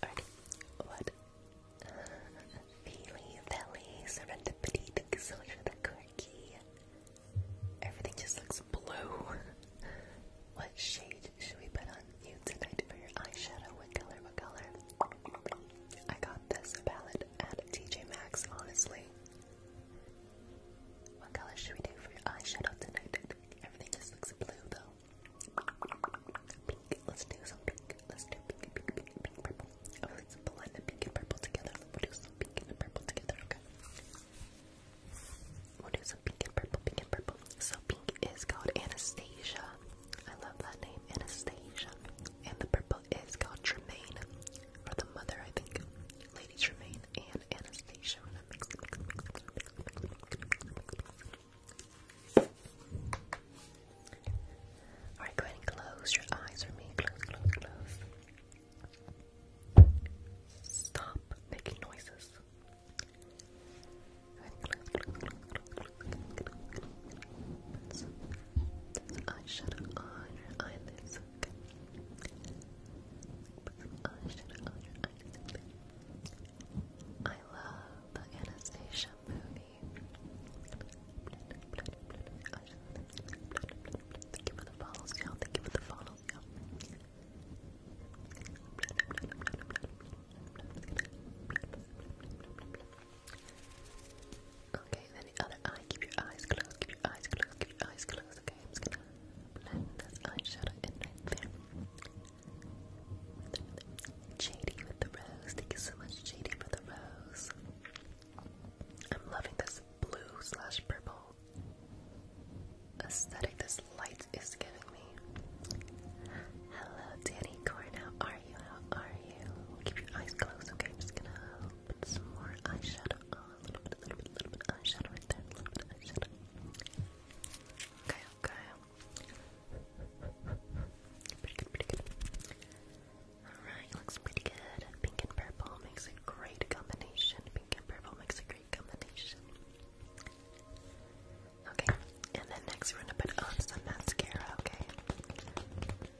Alrighty. What? Uh, Feely, Valley, Serendipity, thank you so the quirky. Everything just looks blue. what shade should we put on you tonight for your eyeshadow? What color? What color? I got this palette at TJ Maxx, honestly. What color should we do for your eyeshadow tonight? Everything just looks blue though. Pink. Let's do some pink. Let's do pink, pink, pink, pink, purple. Oh, let's blend the pink and purple together. We'll do some pink and purple together, okay? We'll do some pink and purple, pink and purple. So pink is called Anastasia. I love that name, Anastasia. And the purple is called Tremaine, or the mother, I think. Lady Tremaine and Anastasia. Mix, mix, mix, mix, close your eyes for me. Stop making noises. Put some eyeshadow on your eyelids, I love the Anastasia movie. Thank you the follows, y'all. Thank you the follows, y'all. Okay, then the other eye, keep your eyes closed, keep your eyes closed, keep your eyes closed. Okay, I'm just gonna blend this eyeshadow in there. Jady with the rose, thank you so much, Jady, for the rose. I'm loving this blue slash purple aesthetic this light is giving me. Hello, Danny Corn, how are you? How are you? Keep your eyes closed, okay? I'm just gonna little some more eyeshadow. Oh, a little bit, a little bit, a little bit eyeshadow right there. A little bit eyeshadow. Okay, okay. Pretty good, pretty good. Alright, looks pretty good. Pink and purple makes a great combination. Pink and purple makes a great combination. Okay, and then next we're gonna put on some mascara, okay?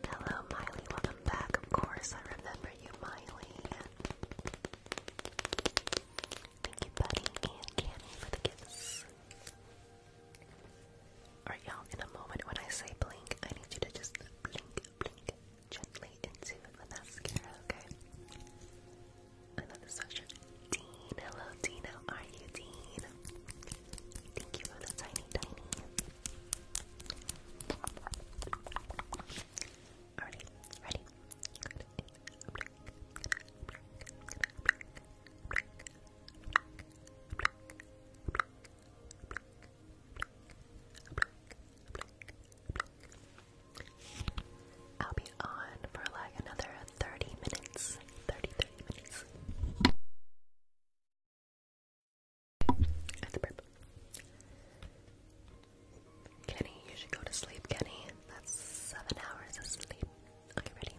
Hello, Miley. Welcome back. Of course, I remember you, Miley. Thank you, Buddy and Candy, for the gifts. Alright, y'all, in a moment when I say blink, I need you to just blink, blink gently into the mascara, okay? I know Dean. Hello, Dean. are you, Dean? Thank you for the tiny, tiny. Alrighty, ready? I'll be on for like another 30 minutes. 30, minutes. That's a burp. Kenny, you should go to sleep, Kenny. That's seven hours of sleep. Okay, ready?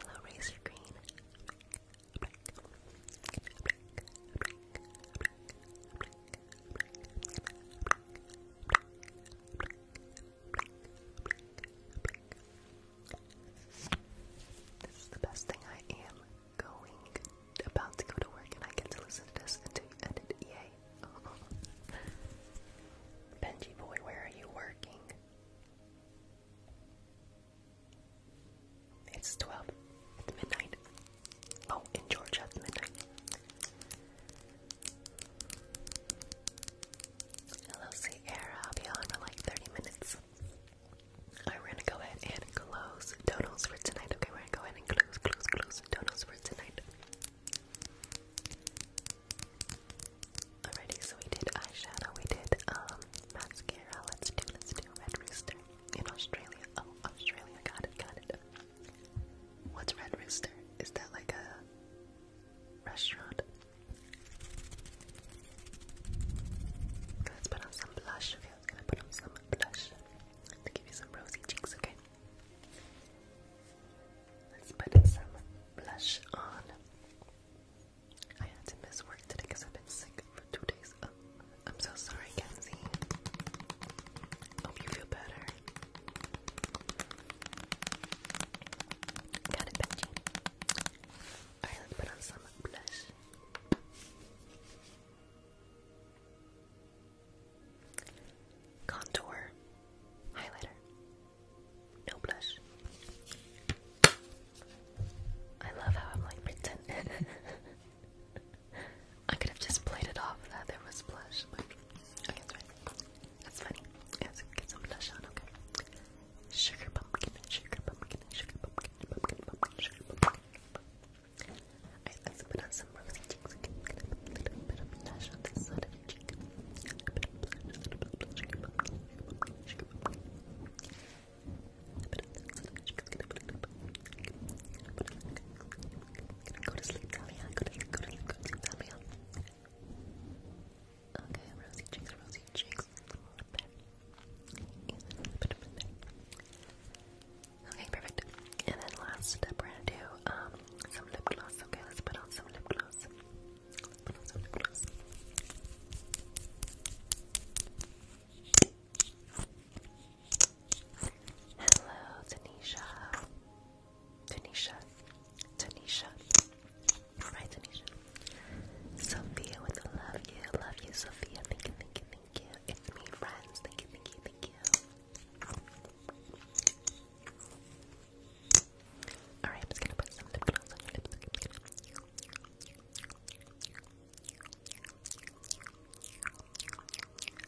Hello, Razor Green. This is the best thing I am going about to go to work and I get to listen to this until you edit EA. Benji boy, where are you working? It's 12 at midnight. Oh, in Georgia at midnight. Hello, Sierra. I'll be on for like 30 minutes. Alright, we're gonna go ahead and close donuts for tonight. Okay, we're gonna go ahead and close, close, close donuts for tonight. Alrighty, so we did eyeshadow, we did um mascara. Let's do, let's do Red Rooster in Australia. Oh, Australia, got it, got it. What's Red Rooster? Is that like a restaurant? Let's put on some blush. I was gonna put on some blush to give you some rosy cheeks. Okay. Let's put some blush on. I had to miss work today because I've been sick for two days. Oh, I'm so sorry, Kenzie. Hope you feel better. Got it, Benji. Alright, let's put on some blush. Contour highlighter. No blush. I love how I'm like pretending. (laughs) I could have just played it off that there was blush. That's funny. Let's get some blush on, okay. Sugar pumpkin, sugar pumpkin, sugar pumpkin, pumpkin, pumpkin, sugar pumpkin. Alright, let's put on some rosy cheeks. Okay, I'm gonna put a little bit of blush on this side of your cheek. A bit of blush, a little bit of blush, sugar pumpkin, sugar pumpkin, sugar pumpkin. A bit of that side of your cheek. I'm gonna put a little bit. Put it like. Gonna go to sleep, Talia. Go to sleep, go to sleep, go to sleep, Talia. Okay, rosy cheeks, rosy cheeks. Okay, perfect. And then last step, we're gonna do um, some lip gloss. Okay, let's put on some lip gloss. put on some lip gloss. Hello, Tanisha. Tanisha. Tanisha. All right, Tanisha. Sophia with love you, love you, Sophia. Thank you, thank you, thank you. It's me, friends. Thank you, thank you, thank you. Alright, I'm just gonna put some lip gloss on your lips.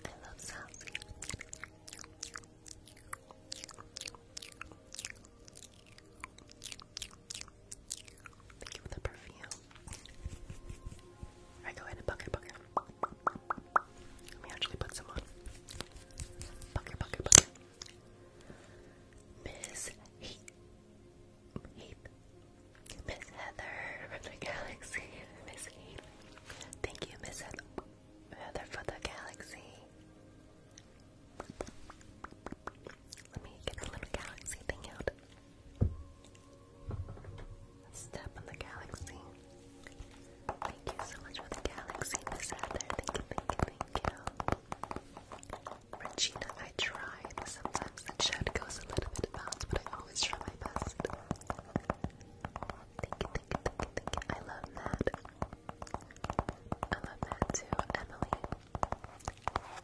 I love sounds. Thank you for the perfume. Alright, go ahead and bucket, bucket. Let me actually put some on. Bucket, bucket, bucket. Miss Heath. Heath. Miss Heather from the galaxy. Miss Heath. Thank you, Miss Heather. Heather the galaxy. Let me get the little galaxy thing out. Step on the galaxy. Thank you so much for the galaxy, Miss Heather. Thank you, thank you, thank you. Regina, I try. Sometimes the chat goes a little bit bounce, but I always try my best. Thank you, thank you, thank you, thank you. I love that. I love that too, Emily.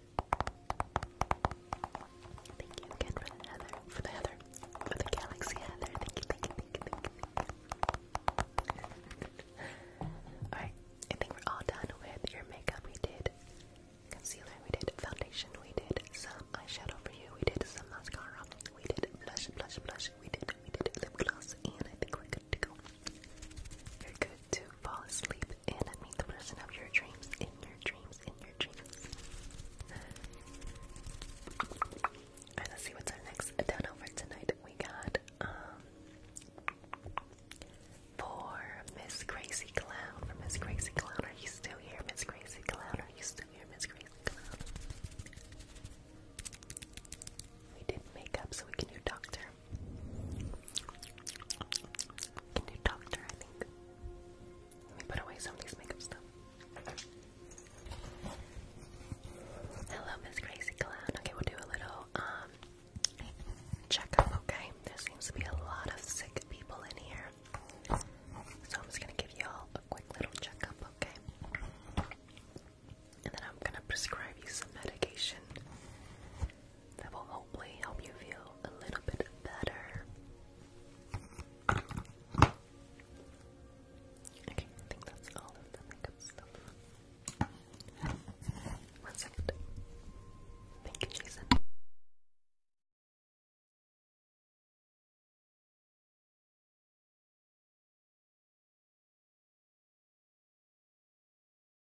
Thank you again for the heather, for the heather, for the galaxy Thank you, thank you, thank you, thank you. Alright, I think we're all done with your makeup. We did concealer, we did foundation, we did some eyeshadow for you, we did some mascara, we did blush, blush, blush, we did, we did lip gloss, and I think we're good to go. You're good to fall asleep and I meet the person of your dreams, in your dreams, in your dreams. Alright, let's see what's our next turnover tonight. We got, um, for Miss Crazy Clown, for Miss Crazy Clown, are you still here, Miss Crazy Clown, are you still here, Miss Crazy Clown? We did makeup so we can do doctor. A new doctor, I think. Let me put away some of these makeup stuff. Hello, Miss Crazy Clown. Okay, we'll do a little um checkup, okay? There seems to be a lot of sick people in here. So I'm just gonna give y'all a quick little checkup, okay? And then I'm gonna prescribe you some medication that will hopefully help you feel a little bit better. Okay, I think that's all of the makeup stuff. One second. Thank you, Jason.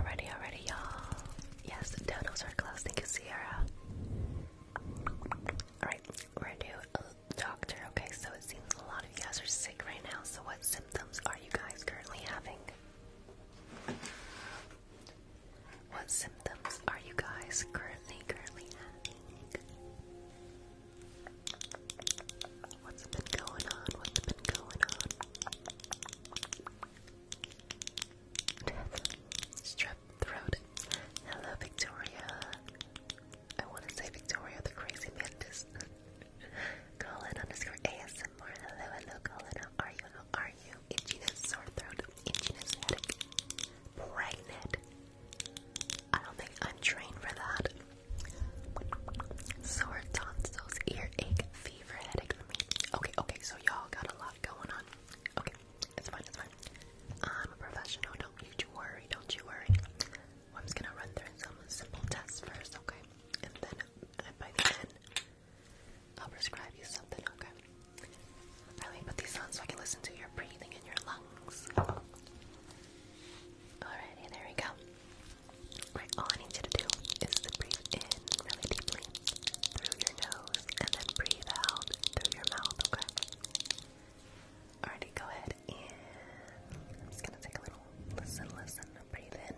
Already, already, y'all. Yes, the donuts are close. Thank you, Sierra. Alright, we're going a doctor. Okay, so it seems a lot of you guys are sick right now. So, what symptoms are you guys currently having? What symptoms are you guys currently, currently having? What's been going on? What's been going on? Strep throat. Hello, Victoria. I want to say Victoria the crazy mantis. Colin underscore ASMR. Hello, hello, Colin. How are you? How are you? Itchiness, sore throat, itchiness, headache, pregnant. I don't think I'm trained for that. Sore tonsils, earache, fever, headache Okay, okay, so y'all got a lot going on. Okay, it's fine, it's fine. I'm a professional, don't you worry, don't you worry. I'm just gonna run through some simple tests first, okay? And then and by I'll prescribe you something, okay? Let me put these on so I can listen to your breathing in your lungs. Alrighty, there we go. all I need you to do is breathe in really deeply through your nose and then breathe out through your mouth, okay? Alrighty, go ahead and I'm just gonna take a little listen, listen, breathe in.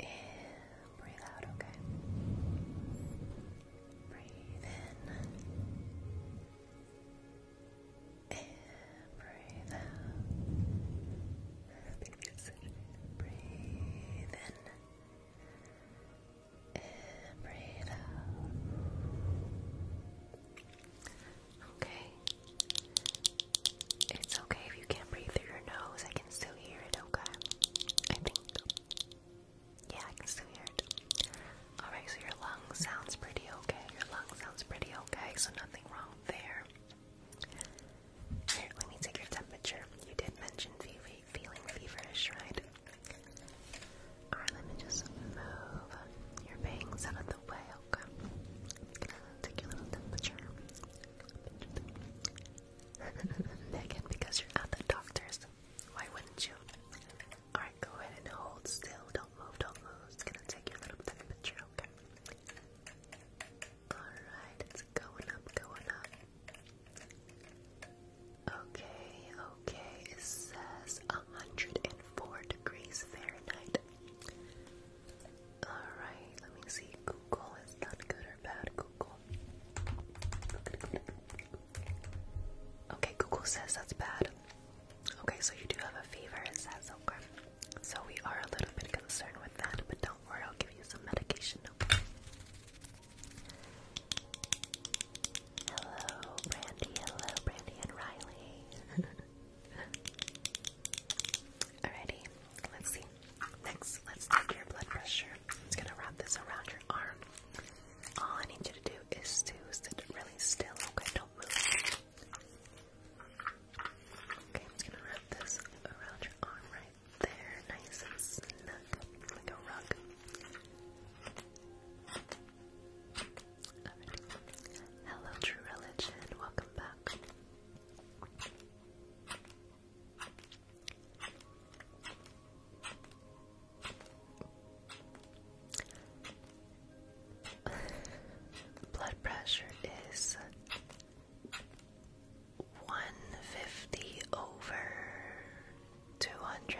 And breathe out, okay? Breathe in breathe out. Breathe in. breathe out. Okay. It's okay if you can't breathe through your nose. I can still hear it, okay? I think. Yeah, I can still hear it. Alright, so your lung sounds pretty okay. Your lung sounds pretty okay, so nothing wrong there. let me take your temperature. You did mention fe feeling feverish, right? Alright, let me just move your bangs out of the way, okay? I'm gonna take your little temperature. (laughs) Megan, because you're at the doctor's, why wouldn't you? Alright, go ahead and hold still. Don't move, don't move. It's gonna take you a little bit of a picture, okay? Alright, it's going up, going up. Okay, okay, it says 104 degrees Fahrenheit. Alright, let me see. Google is not good or bad. Google. Okay, Google says that's bad. Okay, so you do have a fever, it says, okay. So we are a little bit concerned with that, but don't worry, I'll give you some medication, okay? Hello, Brandy, hello, Brandy and Riley. (laughs) Alrighty, let's see. Next, let's take your blood pressure. It's gonna wrap this around your arm. All I need you to do is to sit really still, okay? Don't move. Okay, I'm just gonna wrap this around your arm right there, nice and snug, like a rug. Hello, True Religion, welcome back. (sighs) Blood pressure is 150 over 200.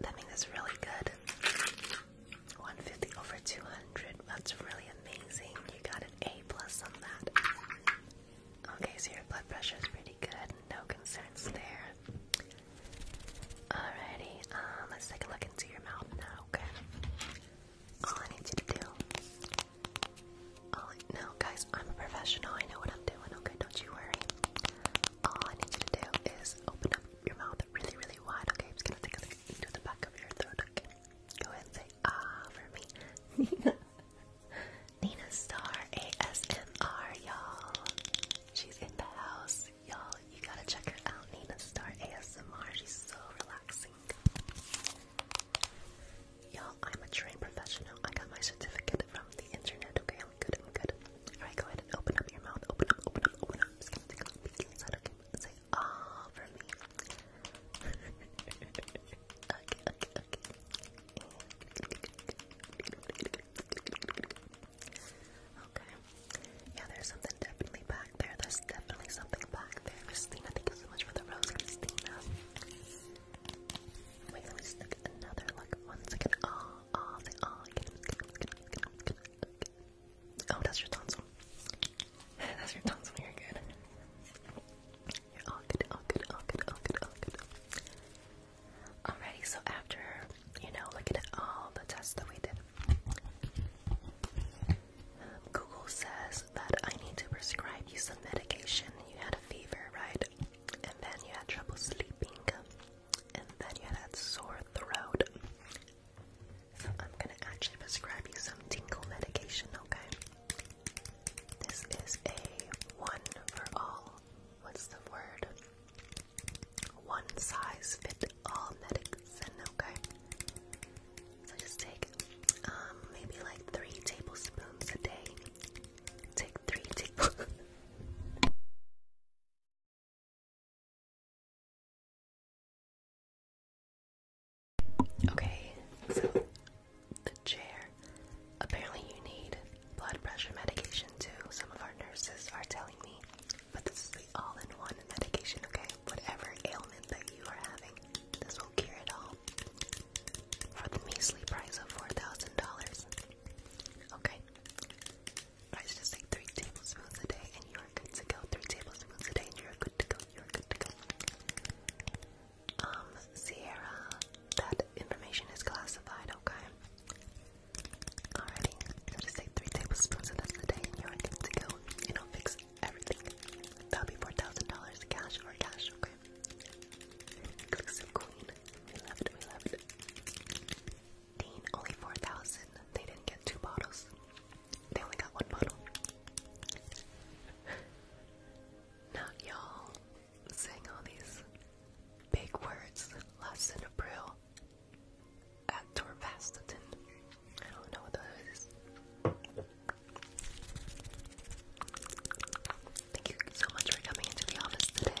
That means that's really good. 150 over 200. That's really amazing. You got an A plus on that. Okay, so your blood pressure is pretty good. No concerns there. Alrighty, um, let's take a look into your mouth now, okay? All I need you to do. All I, no, guys, I'm a professional. I know what I'm doing, okay? Don't you worry. All I need you to do is open up your mouth really, really wide, okay? I'm just gonna take a look into the back of your throat, okay? Go ahead and say, ah, for me. Nina. (laughs) Nina Star ASMR, y'all. She's in the house, y'all. You gotta check her out, Nina Star ASMR. She's so relaxing. Y'all, I'm a trained professional. I got my certificate from the internet. Okay, good. good. All right, go ahead and open up your mouth. Open up. Open up. Open up. Okay, say ah for me. (laughs) okay, okay, okay. Okay. Yeah, there's something definitely back there. There's definitely something back there. Christina, thank you so much for the rose, Christina. Wait, let me just another like one second. Oh, oh, the oh, oh, that's your tonsil. (laughs) that's your tonsil. You're good. You're all good. All good. All good. All good. All good. Alrighty, so after, you know, looking at all the tests that we did, Google says that I need to prescribe you some medication. You had a fever, right? And then you had trouble sleeping. And then you had a sore throat. I'm gonna actually prescribe you some tingle medication, okay? This is a one for all. What's the word? one size fit all medicine, okay? So just take um, maybe like three tablespoons a day. Take three tablespoons. (laughs) okay, so the chair. Apparently you need blood pressure medication too. Some of our nurses are telling me, but this is the all-in-one medication, okay? Whatever ailment that you are having, this will cure it all. For the measly price of four thousand dollars. Okay. Guys, just take three tablespoons a day and you are good to go. Three tablespoons a day and you are good to go. You are good to go. Um, Sierra, that information is classified, okay? Alrighty, so just take three tablespoons of this a day and you're good to go. And I'll fix everything. That'll be $4,000 cash or cash, okay? Exclusive queen. We love it, we love it. Dean, only 4000 They didn't get two bottles. They only got one bottle. Not y'all saying all these big words. Lesson April at I don't know what that is. Thank you so much for coming into the office today. (laughs)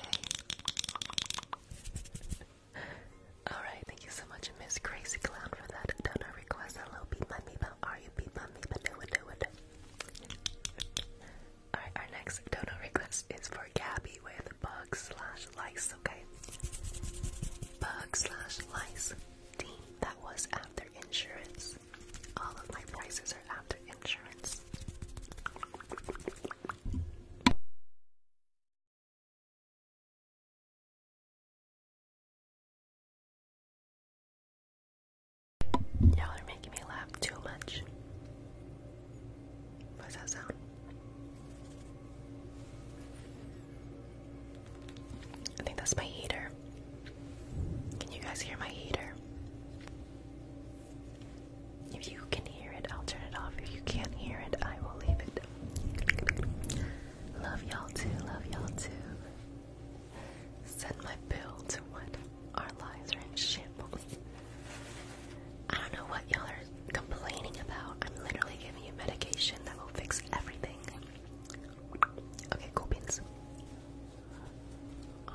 Alright, thank you so much, Miss Crazy Clown, for that donor request. Hello, Beepa Meepa. Are you Beepa Meepa? Do it, do it. (laughs) Alright, our next donor request is for Gabby with Bug slash lice, okay? Bug slash lice team. That was after insurance. All of my prices are after insurance. Y'all are making me laugh too much. How's that sound? I think that's my heater. Can you guys hear my heater? If you can hear it, I'll turn it off. If you can't hear it, I will leave it. Love y'all too, love y'all too. Send my bill to what? Our lives are in shambles. I don't know what y'all are complaining about. I'm literally giving you medication that will fix everything. Okay, cool beans. Uh,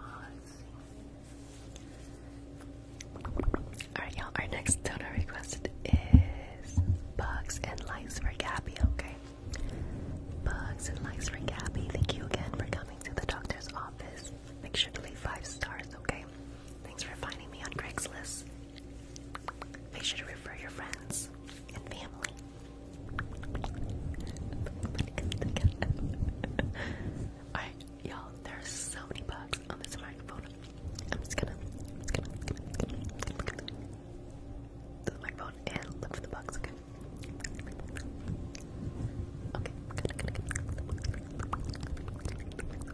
Alright, y'all, our next donor request is Bugs and Lights for Gabby, okay? Bugs and Lights for Gabby, thank you again for coming to the doctor's office. Make sure to leave five stars, okay? Thanks for finding me on Craigslist. Make sure to refer your friends and family. (laughs) Alright, y'all, there's so many bugs on this microphone. I'm just gonna, the microphone and look for the bugs, okay?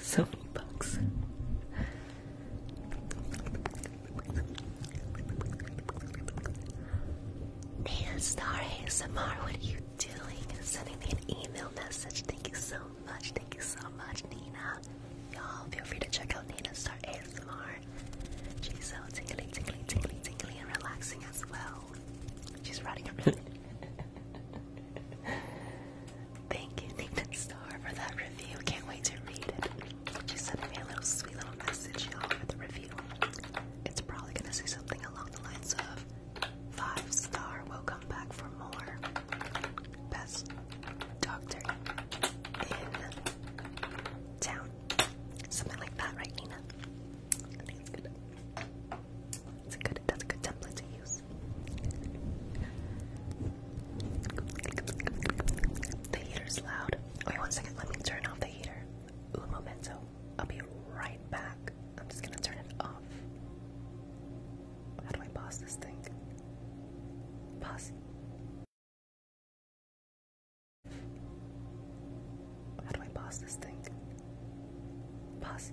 So many bugs. Hey, Star ASMR, what are you doing? Sending me an email message. Thank you so much. Thank you so much, Nina. Y'all, feel free to check out Nina Star ASMR. She's so tingly, tingly, tingly, tingly, and relaxing as well. She's running around. Thank you, Nathan Star, for that review. Can't wait to read it. She sent me a little sweet little message, with the review. It's probably gonna say something along the lines of five star. Welcome back for more. Best doctor in town. Something like that, right, Nina? I think it's good. It's a good, that's a good template to use. The heater's loud. Wait one second, let me turn off the heater. Un momento. I'll be right back. I'm just gonna turn it off. How do I pause this thing? Pause. How do I pause this thing? Pause.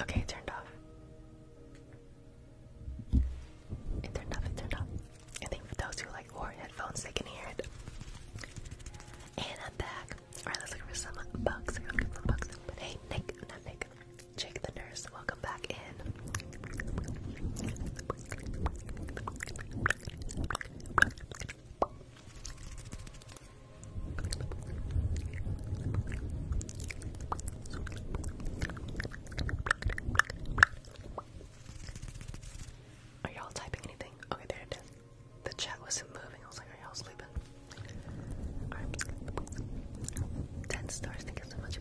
Okay, turned off. It turned off, it turned off. I think for those who like wore headphones, they can hear it. And I'm back. Alright, let's look for some bugs. hey, Nick, not Nick. Jake the nurse, welcome back in. Are y'all typing anything? Okay, there it is. The chat wasn't moving. I was like, are y'all sleeping? Alright. 10 stars, thank you so much.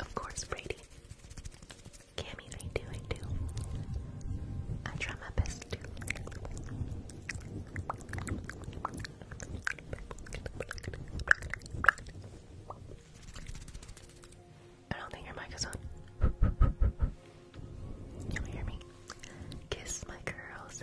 Of course, Brady. Cammy, I do, I do. I try my best to. I don't think your mic is on. you hear me? Kiss my girls.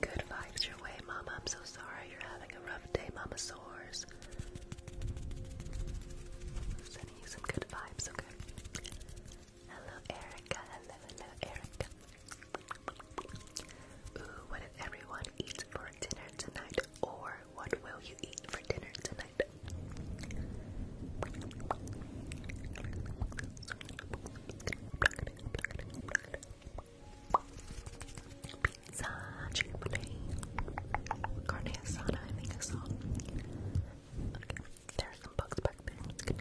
Good vibes your way, Mama. I'm so sorry you're having a rough day, Mama Soars. Sending you some good vibes, okay? Hello, Erica. Hello, hello, Erica. Ooh, what did everyone eat for dinner tonight? Or what will you eat for dinner tonight? Pizza, chipotle, carne asada, I think I saw. there are some bugs back there.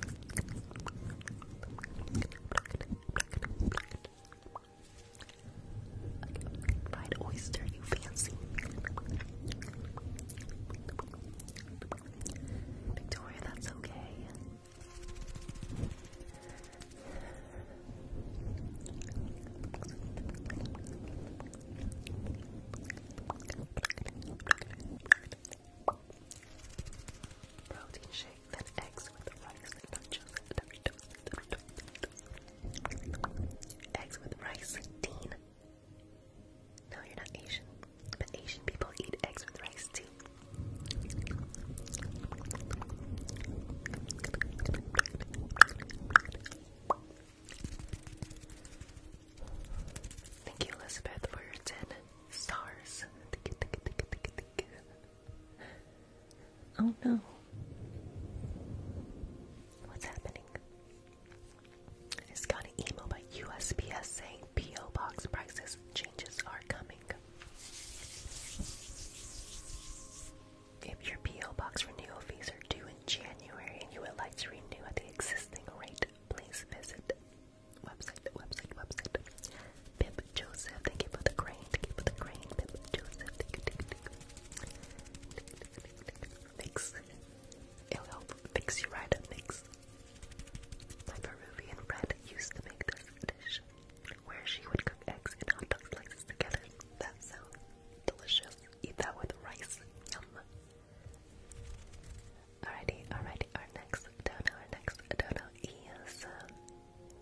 Fried oyster, you fancy. Victoria, that's okay. Protein shake, then eggs with rice and nachos. Eggs with rice, Dean. No, you're not Asian, but Asian people eat eggs with rice too. Thank you, Elizabeth, for your 10 stars. Oh no. What's happening? It's got an email by USPS saying PO box prices changes are coming. If your PO box renewal fees are due in January and you would like to renew at the existing rate, please visit website, website, website. Pip Joseph, thank you for the crane, thank you for the crane, Pip Joseph, thank you, thank you, thank you. Fix. It'll help fix you right up, Mix. Peruvian friend used to make this dish where she would cook eggs and hot dog slices together. That sounds delicious. Eat that with rice. Yum. Alrighty, alrighty, our next dono, our next is uh,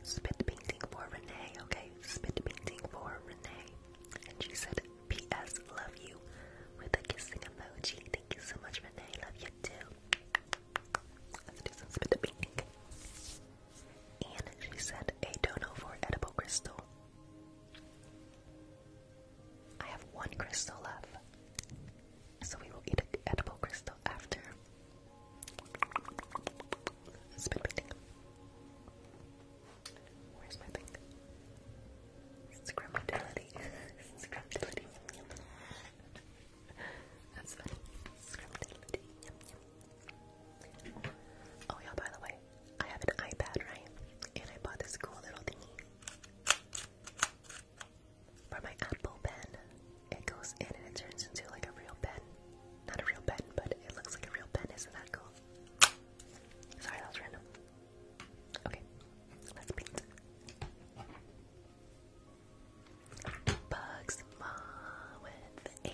spit painting for Renee, okay? Spit painting for Renee. And she said, P.S. Love you with a kissing emoji. Thank you so much, Renee. Love you too. And she sent a dono for edible crystal. I have one crystal left. So we will eat an edible crystal after. Spit painting. Where's my thing? Scrubility. Scrubility. That's funny. Oh, yeah, by the way, I have an iPad, right? And I bought this cool little thingy for my Apple pen. It goes in and it turns into like a real pen. Not a real pen, but it looks like a real pen. Isn't that cool? Sorry, that was random. Okay, let's paint. Bugs Mom with a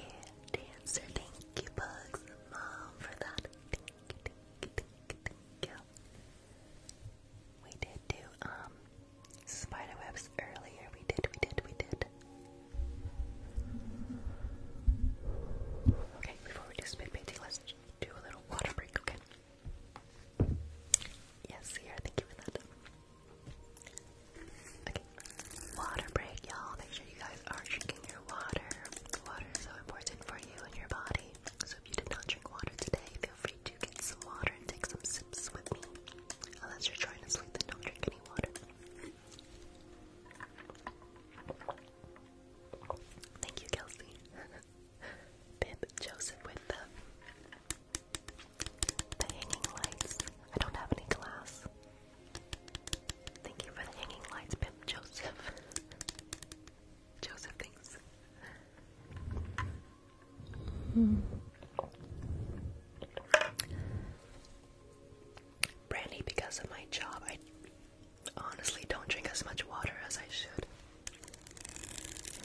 dancer. Thank you, Bugs Mom, for that. We did do um, spiderwebs earlier. We did, we did, we did. Okay, before we do spit painting, let's do a little water break, okay? Yes, here, thank you for that. Okay, water break, y'all. Make sure you guys are drinking your water. Water is so important for you and your body. So if you did not drink water today, feel free to get some water and take some sips with me. Unless you're trying to sleep, then don't drink any water. Thank you, Kelsey. Bib (laughs) Joseph with the, the hanging lights. I don't have any glass. Thank you for the hanging lights, Bib Joseph. (laughs) Joseph, thanks. Brandy, because of my job, I honestly don't drink as much water as I should.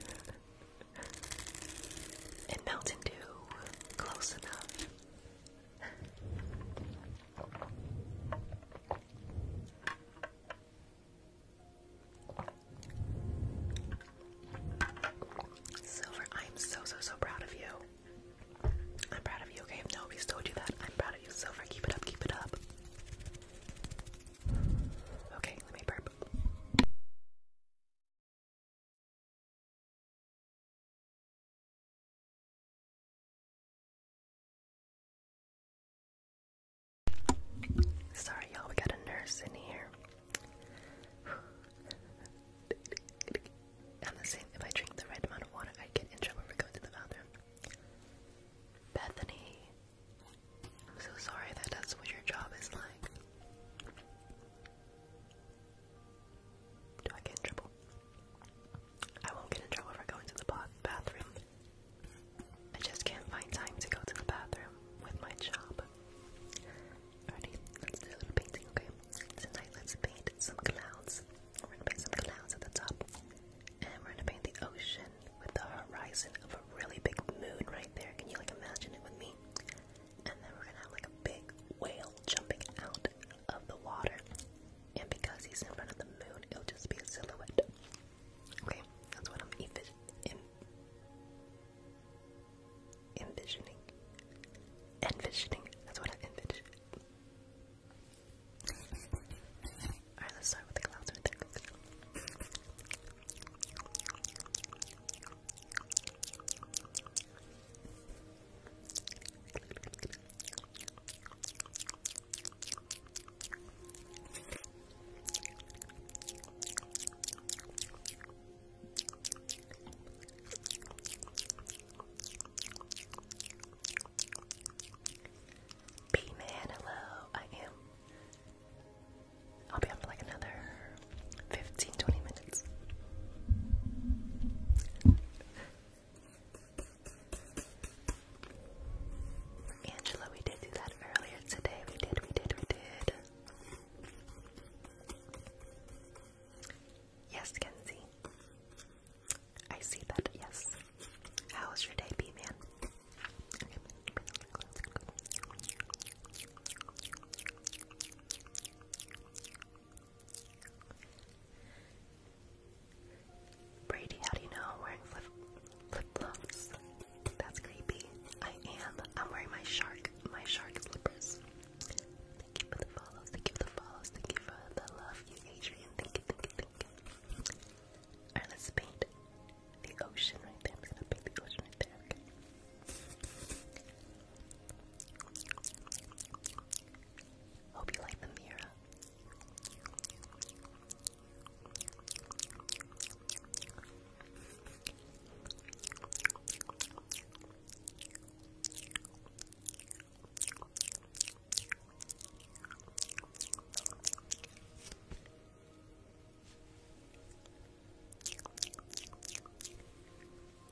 (laughs) and Mountain Dew, close enough. Silver, I'm so so so proud of you. I'm proud of you. Okay, nobody's told you that, I'm proud of you, Silver. Keep it up, keep it up. Okay, let me burp. Sorry, y'all, we got a nurse in here. (sighs) I'm the same. If I drink the right amount of water, I get in trouble for going to the bathroom. Bethany. I'm so sorry that that's what your job is like. Do I get in trouble? I won't get in trouble for going to the bathroom. I just can't find time to go to the bathroom with my job. Alrighty, let's do a little painting, okay? Tonight, let's paint some clouds. We're gonna paint some clouds at the top. And we're gonna paint the ocean with the horizon of a really big moon right there. Can you like imagine it with me? And then we're gonna have like a big whale jumping out of the water. And because he's in front of the moon, it'll just be a silhouette. Okay, that's what I'm envisioning. Envisioning. That's what I'm envisioning. Alright, let's start with the clouds right there. B-Man, hello. I am. I'll be on for like another 15, 20 minutes. Angela, we did do that earlier today. We did, we did, we did. Yes, Kenzie. I see that, yes. How was your day, B man? Brady, how do you know I'm wearing flip flip flops? That's creepy. I am. I'm wearing my shark, my shark slippers. Thank you for the follows. Thank you for the follows. Thank you for the love, you Adrian. Thank you, thank you, thank you. Alright, let's paint the ocean right there. I'm gonna paint the ocean right there, okay? Hope you like the mirror.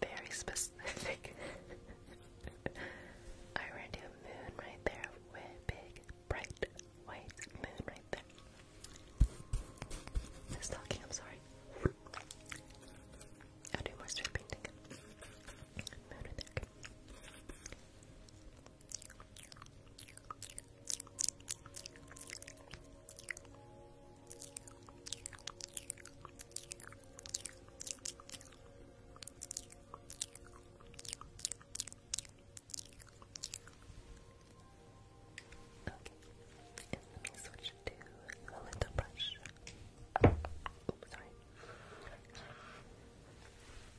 Very specific. I ran to a moon right there. big, bright, white moon right there. Who's talking? I'm sorry. I'll do more strip Moon right there. Okay, let me switch to a little brush. sorry.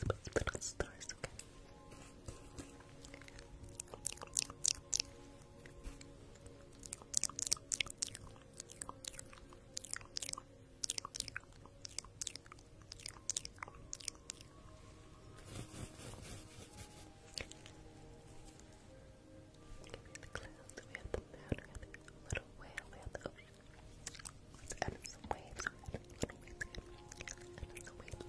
And then let's put little Give me the clouds, we have the mountain, we little whale, we have the ocean and some waves, and some waves, and some waves.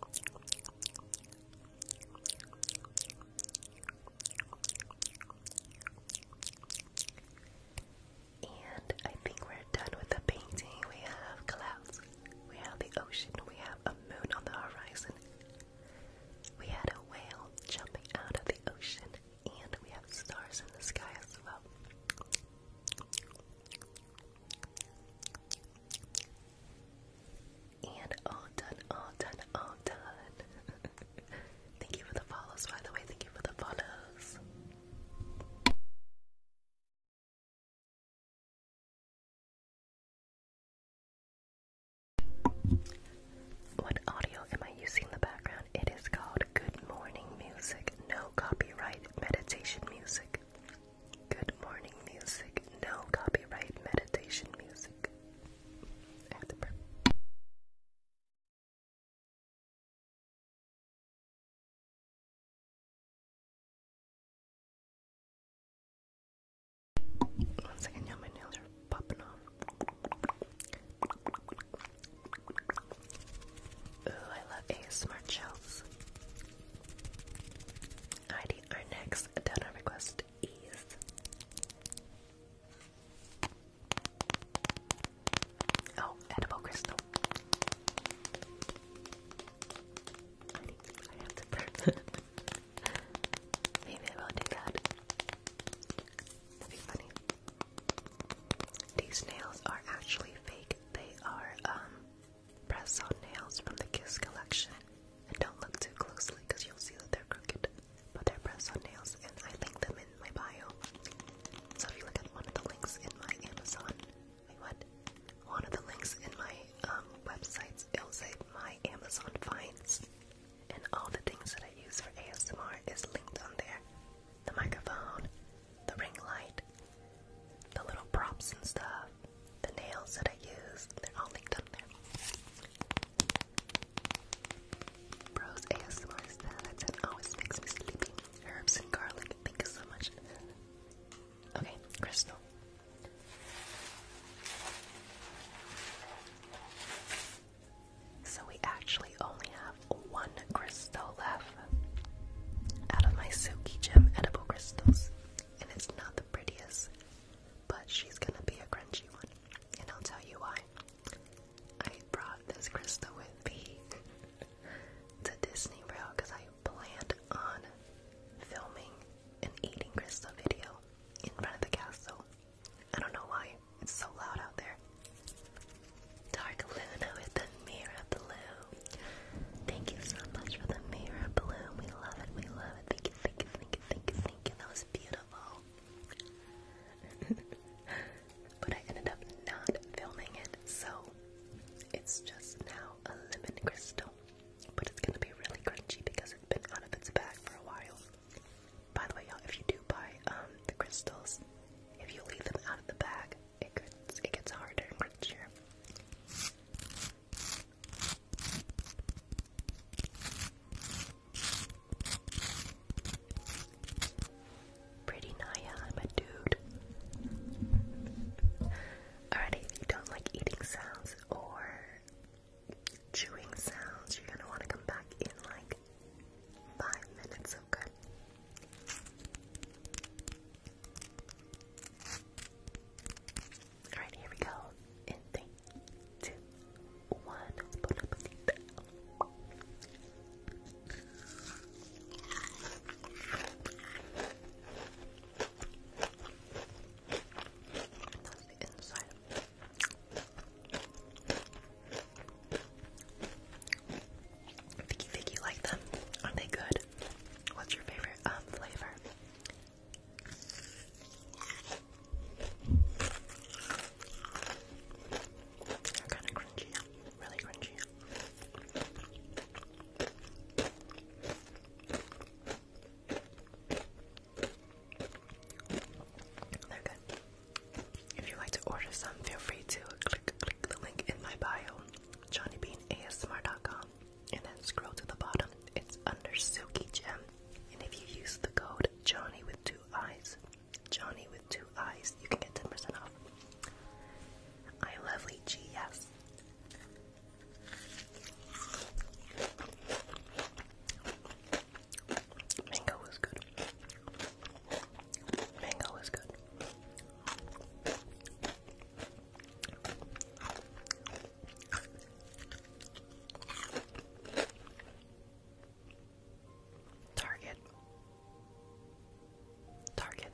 Thank you, and I think we're done with the painting. We have clouds, we have the ocean, we have a moon on the horizon, we had a whale jumping out of the ocean, and we have stars in the sky as well. And all done, all done, all done. (laughs) Thank you for the follows, by the way. Thank you for the follows. What audio am I using in the background? It is called Good Morning Music, no copyright meditation music. Good morning music, no copyright meditation music. One second, my nails are popping off. Ooh, I love ASMR chills. Alrighty, our next donor request is oh, edible crystal. Maybe I will do that. That'd be funny. These nails are actually fake. They are um, press-on nails from the Kiss collection. And don't look too closely because you'll see that they're crooked. But they're press-on nails and I link them in my bio. So if you look at one of the links in my Amazon Wait, what? One of the links in my um, websites, it'll say my Amazon finds, and all the things that I use for ASMR is linked on there. The microphone, the ring light, the little props and stuff, the nails that I use, they're all linked on there. Bros ASMR style, that always makes me sleepy. Herbs and garlic, thank you so much. Okay, crystal. So we actually only have one crystal left out of my silky Gem edible crystals. And it's not the prettiest, but she's gonna be a crunchy one. And I'll tell you why. I brought this crystal with me (laughs) to Disney World because I planned on filming an eating crystal video in front of the castle. I don't know why it's so loud out there. Dark Luna with the mirror blue. Thank you so much for the mirror blue. We love it. We love it. Thank you. Thank you. Thank you. Thank you. Thank you. That was beautiful. (laughs) but I ended up not filming it, so it's just now a lemon crystal, but it's gonna be really crunchy because it's been out of its bag for a while. By the way, y'all, if you do buy um, the crystals, if you leave them out of the bag, it gets it gets harder and crunchier. Pretty Naya, I'm a dude. Alrighty, if you don't like eating sounds or chewing sounds, you're gonna want to come back in like five minutes, okay? Alright, here we go. In three, two, one. Vicky, Vicky, like them? Are they good? What's your favorite um, flavor? They're kind of crunchy, really crunchy. They're good. If you'd like to order some, feel free to click click the link in my bio, johnnybeanasmr.com, and then scroll to the bottom. It's under Silky Gem. And if you use the code Johnny with two eyes, Johnny with two eyes, you can get 10% off. I am lovely yes. Mango is good. Mango is good. Target. Target.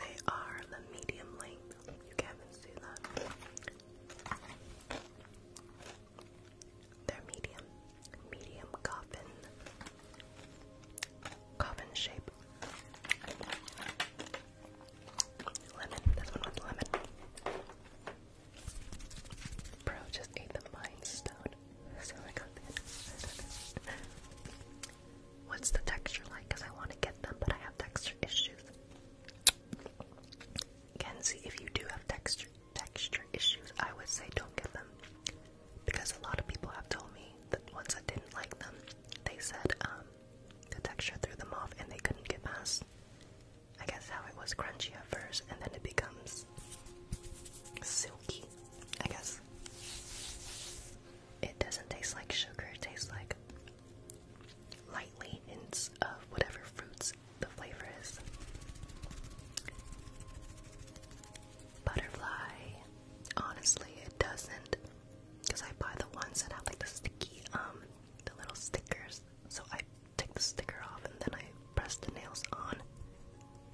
They are the medium length. You can't see that. They're medium. Medium coffin. Coffin shape. Lemon. This one with lemon. Bro just ate the mine stone. What's the texture like? Because I want to get them, but I have texture issues. Kenzie, if you do have texture texture issues, I would say don't get them. Because a lot of people have told me that once I didn't like them, they said, um, the texture threw them off and they couldn't get past. I guess how it was crunchy at first and then it becomes silky, I guess. It doesn't taste like sugar, it tastes like lightly hints of whatever fruits the flavor is. Butterfly. Honestly, it doesn't because I buy the ones that have like the sticky, um, the little stickers. So I take the sticker off and then I press the nails on.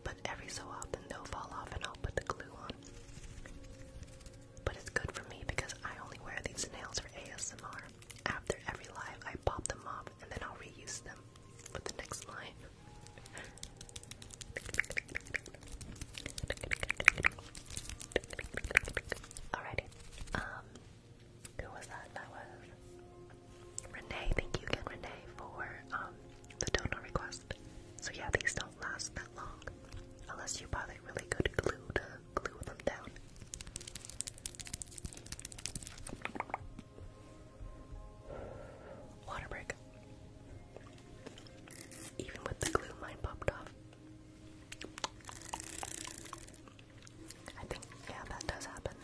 But every so often they'll fall off and I'll put the glue on. But it's good for me because I only wear these nails for ASMR. After every live, I pop them off and then I'll reuse them for the next live. (laughs) Alrighty. Um, who was that? That was Renee. Thank you again, Renee, for um, the donor request. So yeah, these don't last that long unless you buy like really good glue to glue them down. Water break. Even with the glue, mine popped off. I think, yeah, that does happen.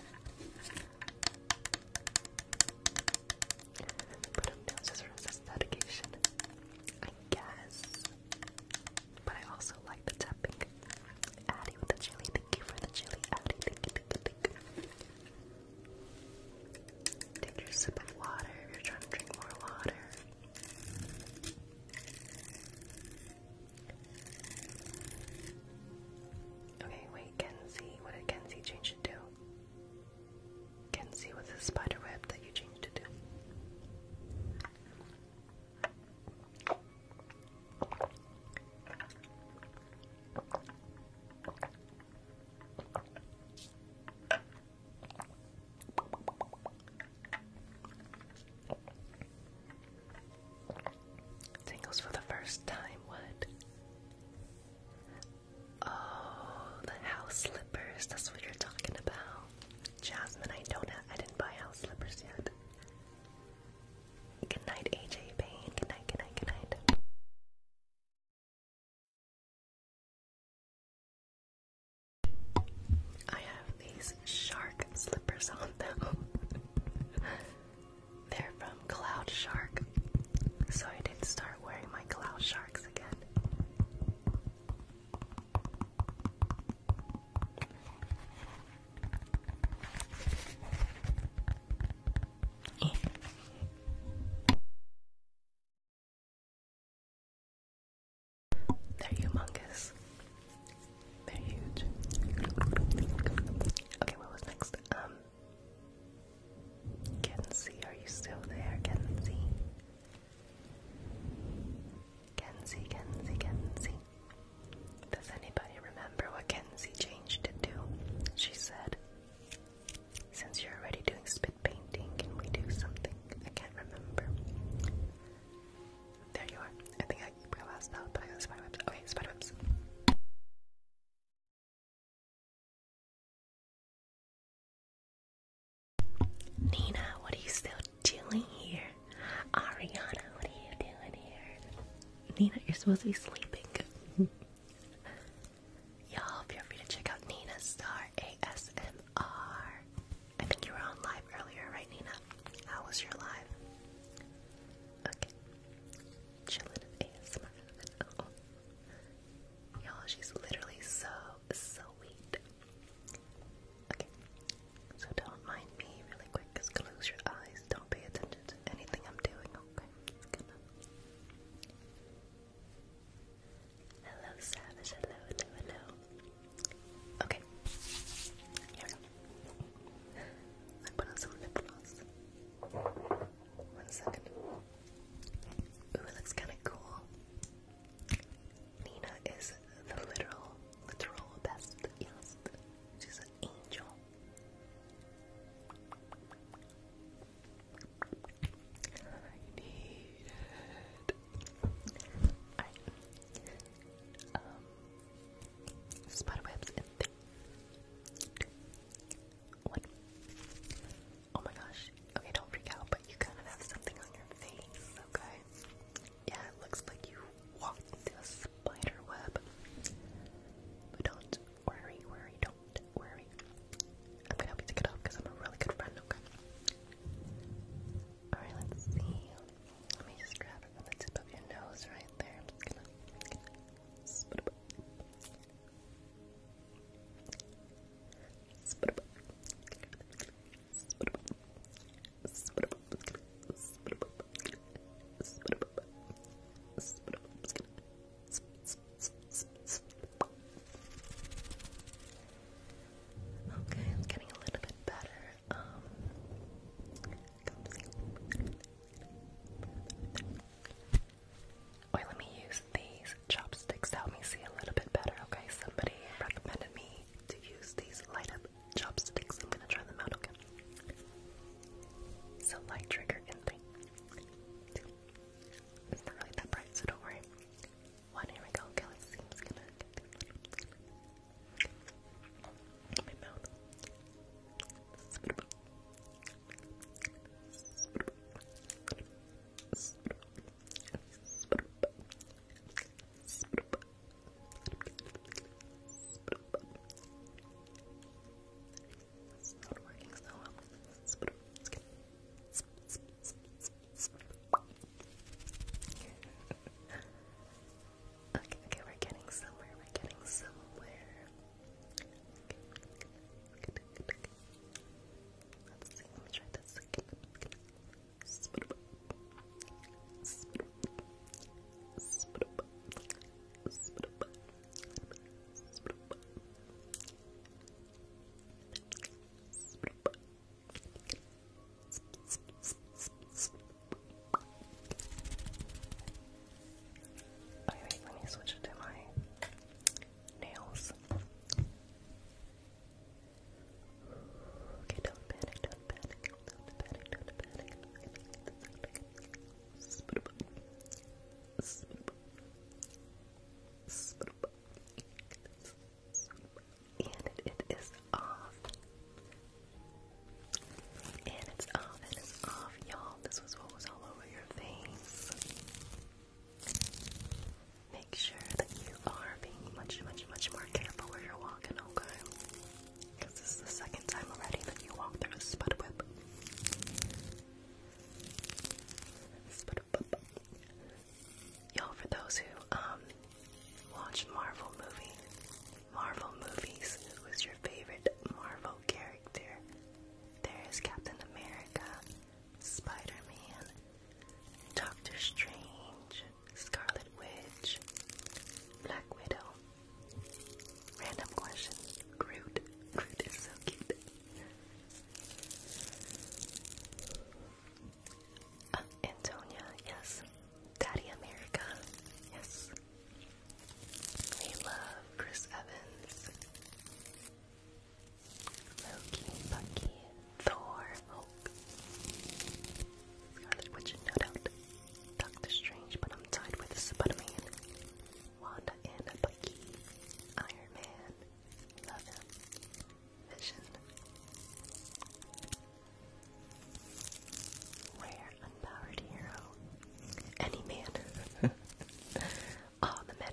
Put up nail scissors as dedication. I guess. But I also like the tapping. Addie with the chili. Thank you for the chili, Addie. Thank you, thank you, thank you. Take sip of water you're trying to drink more water. Okay, wait, Kenzie, what did Kenzie change it to? Kenzie was a spider web that you changed it to. Singles for the first time, what? Oh, the house slippers. That's what you're talking about. Jasmine, I don't have, I didn't buy house slippers yet. Good night, AJ Payne. Good night, good night, good night. I have these shark slippers on them. (laughs) They're from Cloud Shark. So I did start wearing my Cloud Sharks again. Eh. They're humongous. They're huge. Okay, what was next? Um Kenzie, are you still there? Kenzie? Kenzie, Kenzie, Kenzie. Does anybody remember what Kenzie changed it to? She said, since you're already doing spit painting, can we do something? I can't remember. There you are. I think I realized that, but I got spider webs. Okay, spider webs. Nina, what are you still doing here? Ariana, what are you doing here? Nina, you're supposed to be sleeping. (laughs) Y'all, feel free to check out Nina Star ASMR. I think you were on live earlier, right, Nina? How was your live? Okay. Chillin' ASMR. Oh. Y'all, she's literally so, so sweet. Okay. So don't mind me really quick. Just close your eyes. Don't pay attention to anything I'm doing, okay? Hello, Savage. Hello, hello, hello. Okay. Here we go. I put on some lip gloss. One second. Ooh, it looks kind of cool. Nina is the literal, literal best. Yes, she's an angel. I need um, spider webs in three, two, one. Oh my gosh. Okay, don't freak out, but you kind of have something on your face, okay? Yeah, it looks like you walked into a spider web. But don't worry, worry, don't worry. I'm gonna help you take it off because I'm a really good friend, okay? Alright, let's see. Let me just grab it from the tip of your nose right there. Okay, it's getting a little bit better. Um, let me use these chopsticks to help me see a little bit better, okay? Somebody recommended me to use these light up chopsticks. I'm gonna try them out, okay? So, light trigger in three, two. It's not really that bright, so don't worry. One, here we go. Okay, let's see my mouth. It's not working so well. Let's put it. Let's get it. Okay, okay, we're getting somewhere. We're getting somewhere. Let's see. Let me try this again. Okay, wait, let me switch it to my nails. Okay, don't panic, don't panic, don't panic, don't panic. Spit up. Spit up. Spit up. And it is off. And it's off, and it's off, y'all. This was what was all over your face. Make sure that you are being much, much, much more careful where you're walking, okay? Because this is the second time already that you walked through a spud whip. Spud whip. Y'all, for those who um Watch Marvel movie. Marvel movies. Who is your favorite Marvel character? There is Captain America, Spider-Man, Doctor Strange, Scarlet Witch, Black Widow. Random question. Groot. Groot is so cute. Uh, Antonia, yes. Daddy America. Yes. We love Chris Evans. Loki, Bucky, Thor, Hulk. Scarlet Witch, no Doctor Strange, but I'm tied with Spider-Man. Wanda and Bucky. Iron Man. Love him. Vision. Rare unpowered hero. Any man. (laughs) All the men.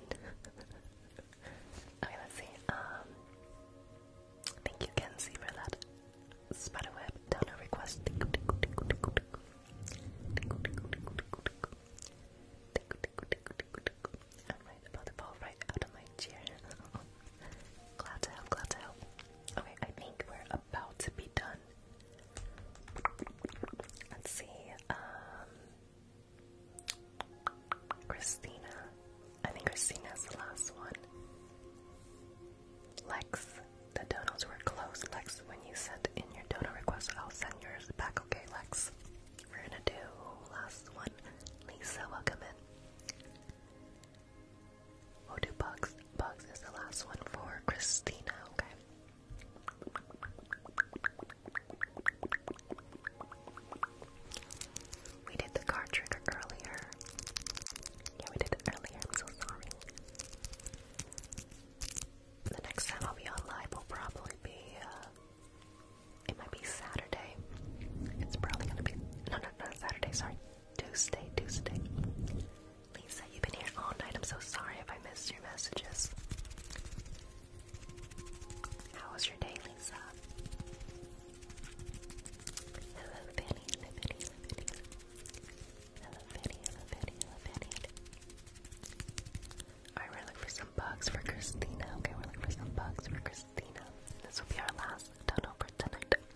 okay, let's see. Um, thank you, Kenzie, for that spiderweb donor request. I'm about to fall right out of my chair. (laughs) glad to help, glad to help. Okay, I think we're about to be done. Let's see. Um, Christina. I think Christina's the last one. Lex, the donuts were close. Lex, when you sent in your donut request, I'll send yours back. Okay, Lex. We're gonna do last one. Lisa, welcome in. We'll do bugs. Bugs is the last one for Christina, okay? We did the card trigger earlier. Yeah, we did it earlier. I'm so sorry. The next time I'll be online live will probably be, uh, it might be Saturday. It's probably gonna be, no, no, not Saturday, sorry. Tuesday, Tuesday. Lisa, you've been here all night. I'm so sorry if I missed your messages. How was your day, Lisa? Hello, Benny. Hello, Benny. Hello, Benny. Hello, Benny. Hello, Benny. Alright, we're looking for some bugs for Christina. Okay, we're looking for some bugs for Christina. This will be our last tunnel for tonight.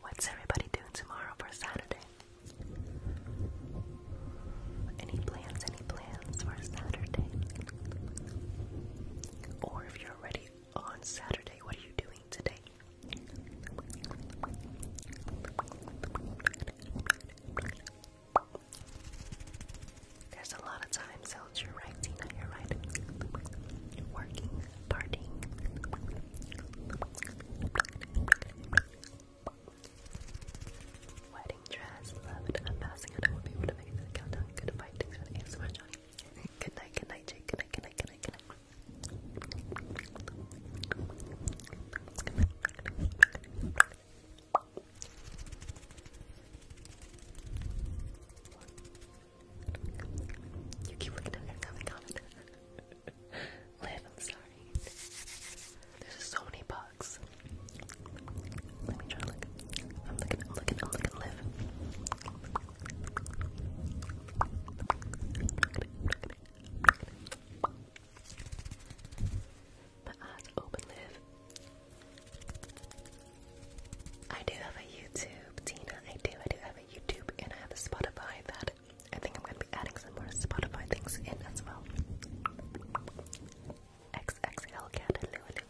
What's everybody doing tomorrow for Saturday? Any plans, any plans for Saturday? Or if you're already on Saturday, what are you doing today? There's a lot of time, Tilt your right, Tina, your right. Working, partying. Wedding dress, love it. I'm passing it. I to make it to the countdown. Good night, good night, Jake. Good night, good night, good night, good night. You keep looking at me, comment, comment. Liv, I'm sorry. There's just so many bugs. Let me try to look. I'm looking, I'm looking, I'm looking, Liv. My eyes open, Liv. I do have a YouTube, Tina. I do, I do have a YouTube, and I have a Spotify that I think I'm going to be adding some more Spotify things in as well. XXL cat, hello, hello.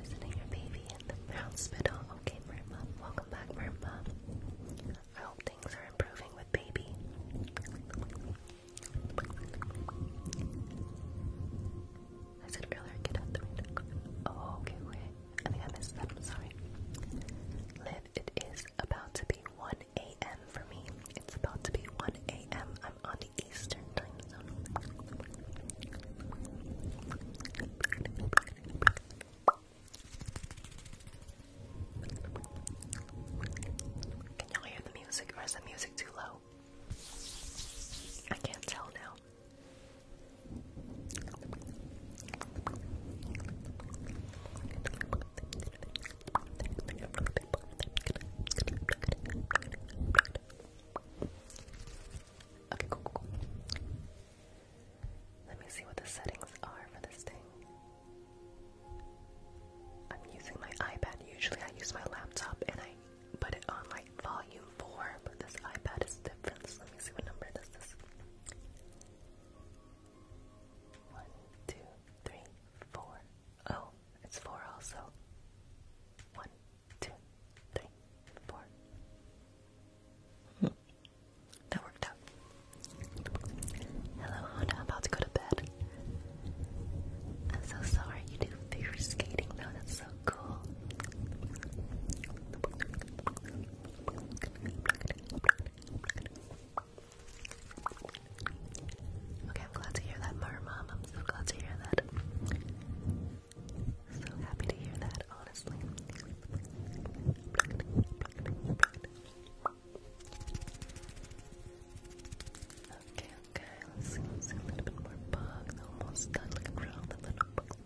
Visiting your baby in the hospital. Okay, Mom. welcome back, Mom. I hope things are improving with baby. I said earlier, get out the window. Oh, okay, okay. I think I missed that. I'm sorry. Liv, it is about to be 1 a.m. for me. It's about to be 1 a.m. I'm on the Eastern time zone. Can y'all hear the music or is the music too low? I can't tell now. Okay, cool, cool, cool. Let me see what the settings are for this thing. I'm using my iPad. Usually I use my laptop and I put it on like volume 4, but this iPad is different. let me see what number this is. 1, Oh, it's 4 also. 1, hmm. That worked out. Hello, Honda. I'm about to go to bed. I'm so sorry you do figure skating. No, that's so cool. Okay, I'm glad to hear that, Mom. I'm so glad to hear that. So happy to hear that, honestly. Okay, let's see, see a little bit more bug. almost done. Look around the little bug. Does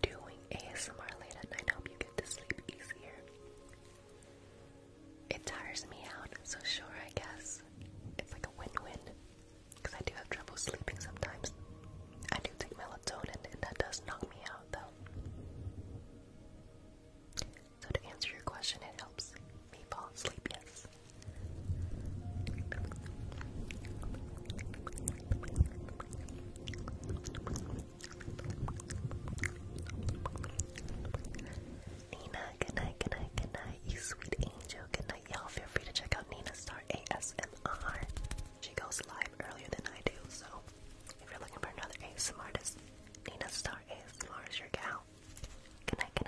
doing ASMR late at night help you get to sleep easier? It tires me out, so sure, I guess. It's like a win win. Because I do have trouble sleeping sometimes. I do take melatonin, and that does knock me out, though. So, to answer your question, it helps me fall asleep, yes. Nina, good night, good you sweet angel, good y'all feel free to check out Nina Star ASMR. She goes live earlier than I do, so if you're looking for another ASMR, this Nina Star ASMR is your gal. Good night, good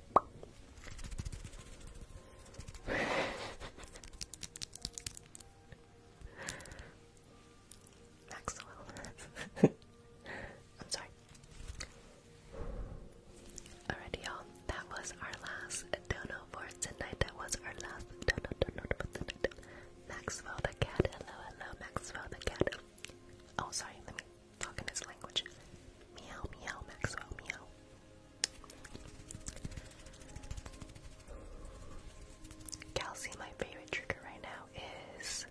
Maxwell. (laughs) I'm sorry. Alrighty, y'all. That was our last dono for tonight. That was our last dono, dono, for tonight. Maxwell the cat. Hello, hello, Maxwell the cat. Oh, sorry talk his language. Meow, meow, Maxwell, meow. Kelsey, my favorite trigger right now is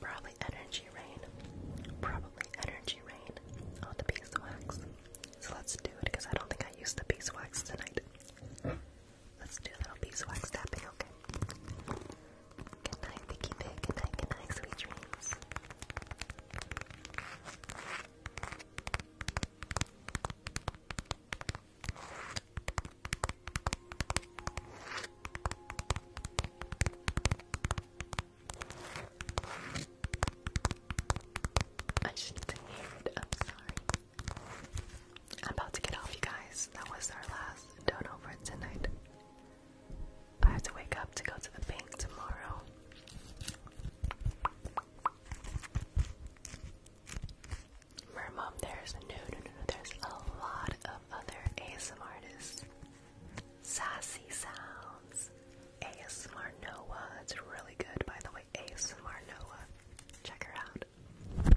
probably energy rain. Probably energy rain on the beeswax. So let's do it because I don't think I used the beeswax tonight. Let's do a little beeswax tapping, okay? Good night, Vicky Pig. Good night, good night, sweet dreams. I shouldn't have heard. I'm sorry. I'm about to get off, you guys. That was our last turnover tonight. I have to wake up to go to the bank tomorrow. Mom, there's no, no, no, no, there's a lot of other ASM artists. Sassy Sounds, ASMR Noah, it's really good, by the way, ASMR Noah. Check her out.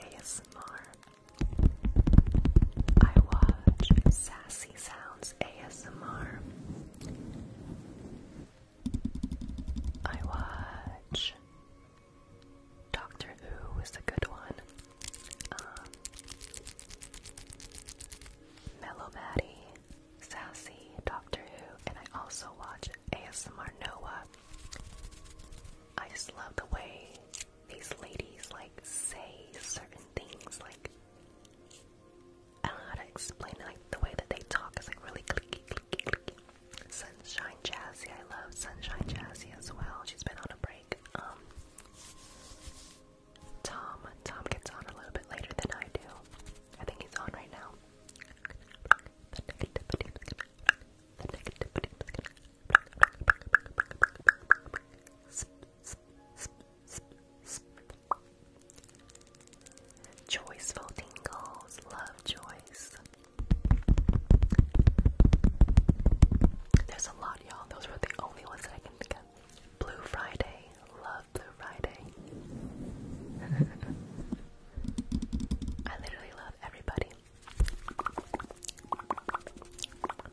ASMR. I watch Sassy Sounds ASMR. I watch Doctor Who is a good one. Um, Mellow Maddie, Sassy, Doctor Who, and I also watch ASMR Noah. I just love the way these ladies like say certain things like I don't know how to explain it. Like the way that they talk is like really clicky, Sunshine Jazzy, I love Sunshine Jazzy as well. She's been on a break. Um, Tom, Tom gets on a little bit later than I do. I think he's on right now. Joyceful tingles, love Joyce. There's a lot, y'all. Those were the only ones that I can think of. Blue Friday, love Blue Friday. (laughs) I literally love everybody. But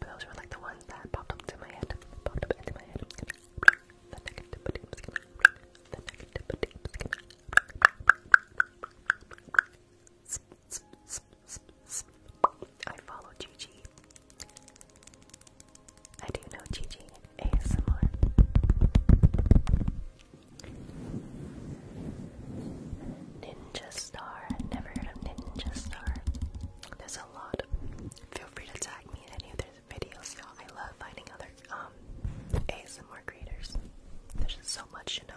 those were like the ones that popped up to my head. Popped up into my head. The negativity. The negativity. I follow Gigi. I do know Gigi ASMR. Ninja Star. never heard of Ninja Star. There's a lot. Feel free to tag me in any of their videos, y'all. I love finding other um, ASMR creators. There's just so much, you know.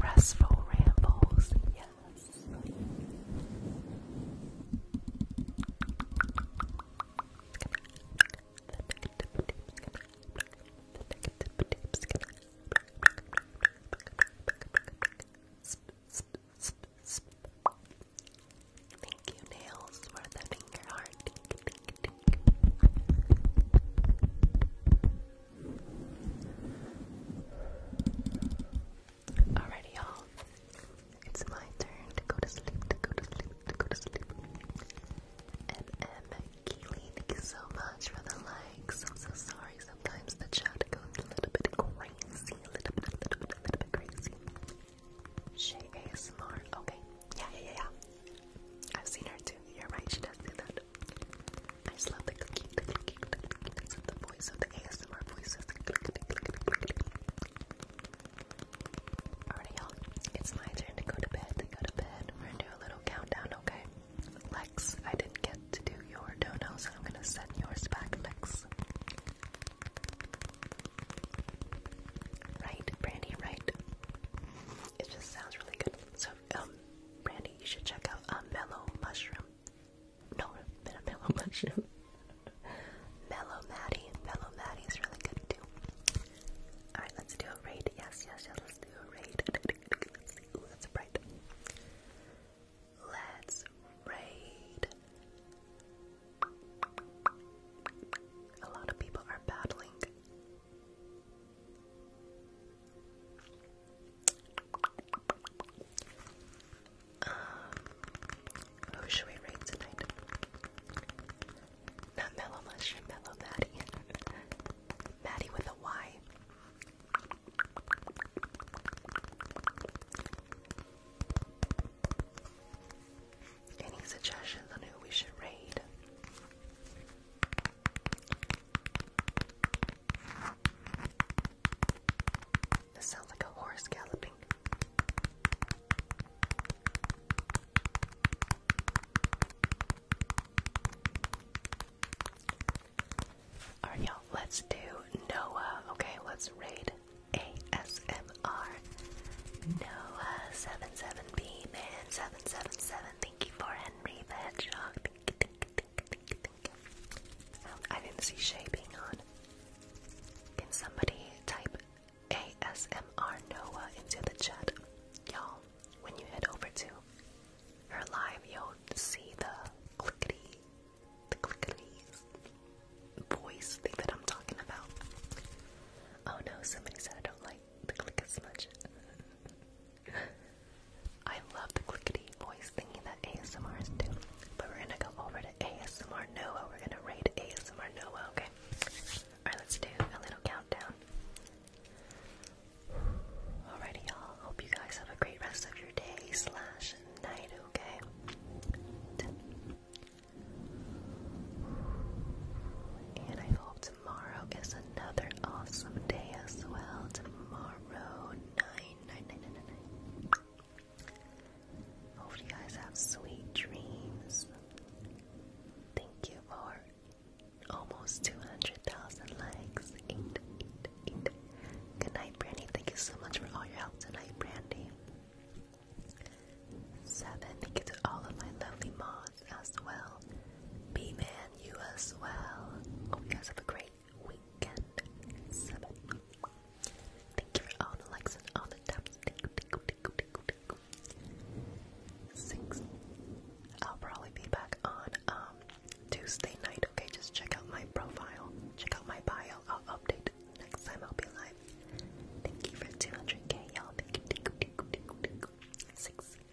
Restful rambles, yes. Thank you, Nails, for the finger heart. Alrighty, y'all. It's my turn to go to sleep, to go to sleep, to go to sleep. MM Keely, thank you so much for the likes. I'm so sorry. Sometimes the chat goes a little bit crazy, a little bit, a little bit, a little bit crazy. She ASMR. Okay. Yeah, yeah, yeah, yeah. I've seen her too. You're right, she does do that. I just love the cookie, the cookie, the cookie. That's the voice of the ASMR voices. Alright, y'all. It's my turn to go to bed. To go to bed. We're gonna do a little countdown, okay? Lex, I didn't get to do your dono, so I'm gonna send yours back, Lex. Right, Brandy, right. It just sounds really good. So, um, Brandy, you should check out uh, mellow mushroom. No, mellow mushroom. (laughs) mellow Maddie. Mellow Maddie is really good too. Alright, let's do a raid. Yes, yes, yes, let's do a raid. (laughs) Ooh, that's bright. Let's raid. A lot of people are battling um, who should we read tonight? Not Mellow Mushroom, Mellow Maddie. (laughs) Maddie with a Y. Any suggestions on who we should raid? This sounds like a horse galloping. Alright, y'all, let's do Noah. Okay, let's raid ASMR Noah77 man, 777. Thank you for Henry the Hedgehog. I didn't see Shay being on. Can somebody type ASMR Noah into the chat? Y'all, when you head over to her live, you'll see the clickety, the clickety voice thing that I'm talking about. Oh no, somebody said I don't like the click a (laughs) I love the clickety voice thingy that ASMR is do. But we're gonna go over to ASMR Noah. We're gonna raid ASMR Noah, okay? Alright, let's do a little countdown. Alrighty, y'all. Hope you guys have a great rest of your day slash night, okay? And I hope Tomorrow is another awesome day as well. Tomorrow, 9, Hope you guys have sweet dreams. Thank you for almost 200,000 likes. Good night, Brandy. Thank you so much for all your help tonight, Brandy. Seven, thank you to all of my lovely mods as well. B Man, you as well. Hope you guys have a great weekend. Seven. Thank you for all the likes and all the taps. Six. I'll probably be back on um, Tuesday night. Okay, just check out my profile. Check out my bio. I'll update next time I'll be live. Thank you for 200k, y'all. Thank you. Six.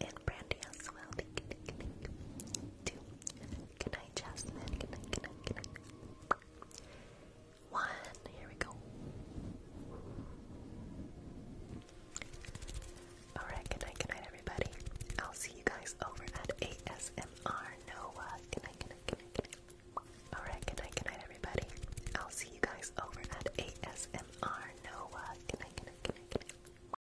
and Brandy as well. Two. Good night, Jasmine. Good night, One. Here we go. Alright, good night, good night, everybody. I'll see you guys over at ASMR Noah. Good night, good night, good night, good night. Alright, good night, good night, everybody. I'll see you guys over at ASMR Noah. good night, good night, good night.